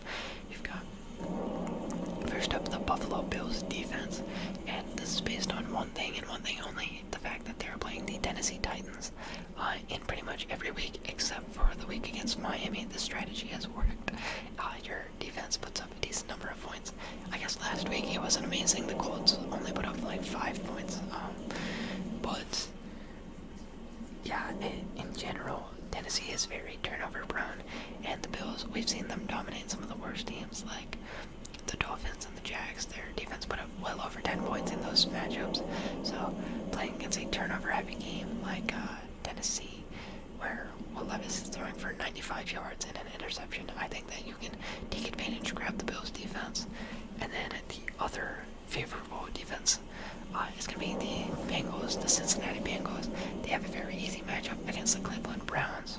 you've got first up the Buffalo Bills defense, and this is based on one thing and one thing only the fact that they're playing the Tennessee Titans uh, in pretty much every week except for the week against Miami. The strategy has worked. Uh, your defense puts up a decent number of points. I guess last week it wasn't amazing. The Colts only put up like five points. Um, but yeah, in, in general, Tennessee is very turnover prone, and the Bills, we've seen them dominate some of the worst teams like the Dolphins and the Jags, their defense put up well over 10 points in those matchups. So playing against a turnover-heavy game like uh, Tennessee, where Will Levis is throwing for 95 yards and an interception, I think that you can take advantage, grab the Bills' defense, and then the other favorable defense uh, is going to be the Bengals, the Cincinnati Bengals. They have a very easy matchup against the Cleveland Browns.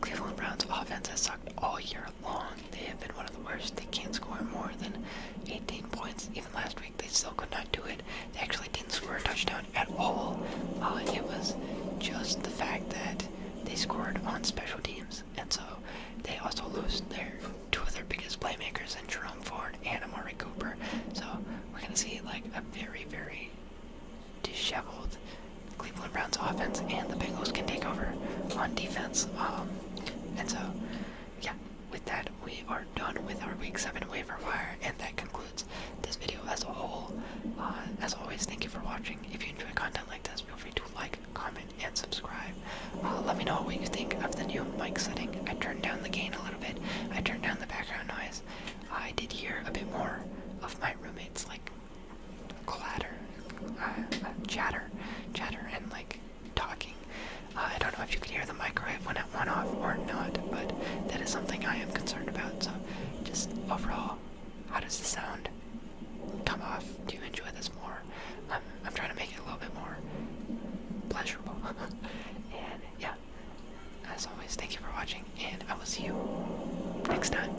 Cleveland Browns' offense has sucked all year long. They have been one of the worst. They can't score more than 18 points. Even last week, they still could not do it. They actually didn't score a touchdown at all. Uh, it was just the fact that they scored on special teams, and so they also lost their two of their biggest playmakers in Jerome Ford and Amari Cooper. So we're gonna see like a very, very disheveled Cleveland Browns offense and the Bengals can take over on defense. Um, and so, yeah, with that, we are done with our Week 7 waiver wire, and that concludes this video as a whole. Uh, as always, thank you for watching. If you enjoy content like this, feel free to like, comment, and subscribe. Uh, let me know what you think of the new mic setting. I turned down the gain a little bit, I turned down the background noise. I did hear a bit more of my roommates, like clatter, uh, uh, chatter, chatter, and like talking. Uh, I don't know if you can hear the microwave when it went off or not, but that is something I am concerned about. So, just overall, how does the sound come off? Do you enjoy this more? Um, I'm trying to make it a little bit more pleasurable. and yeah, as always, thank you for watching, and I will see you next time.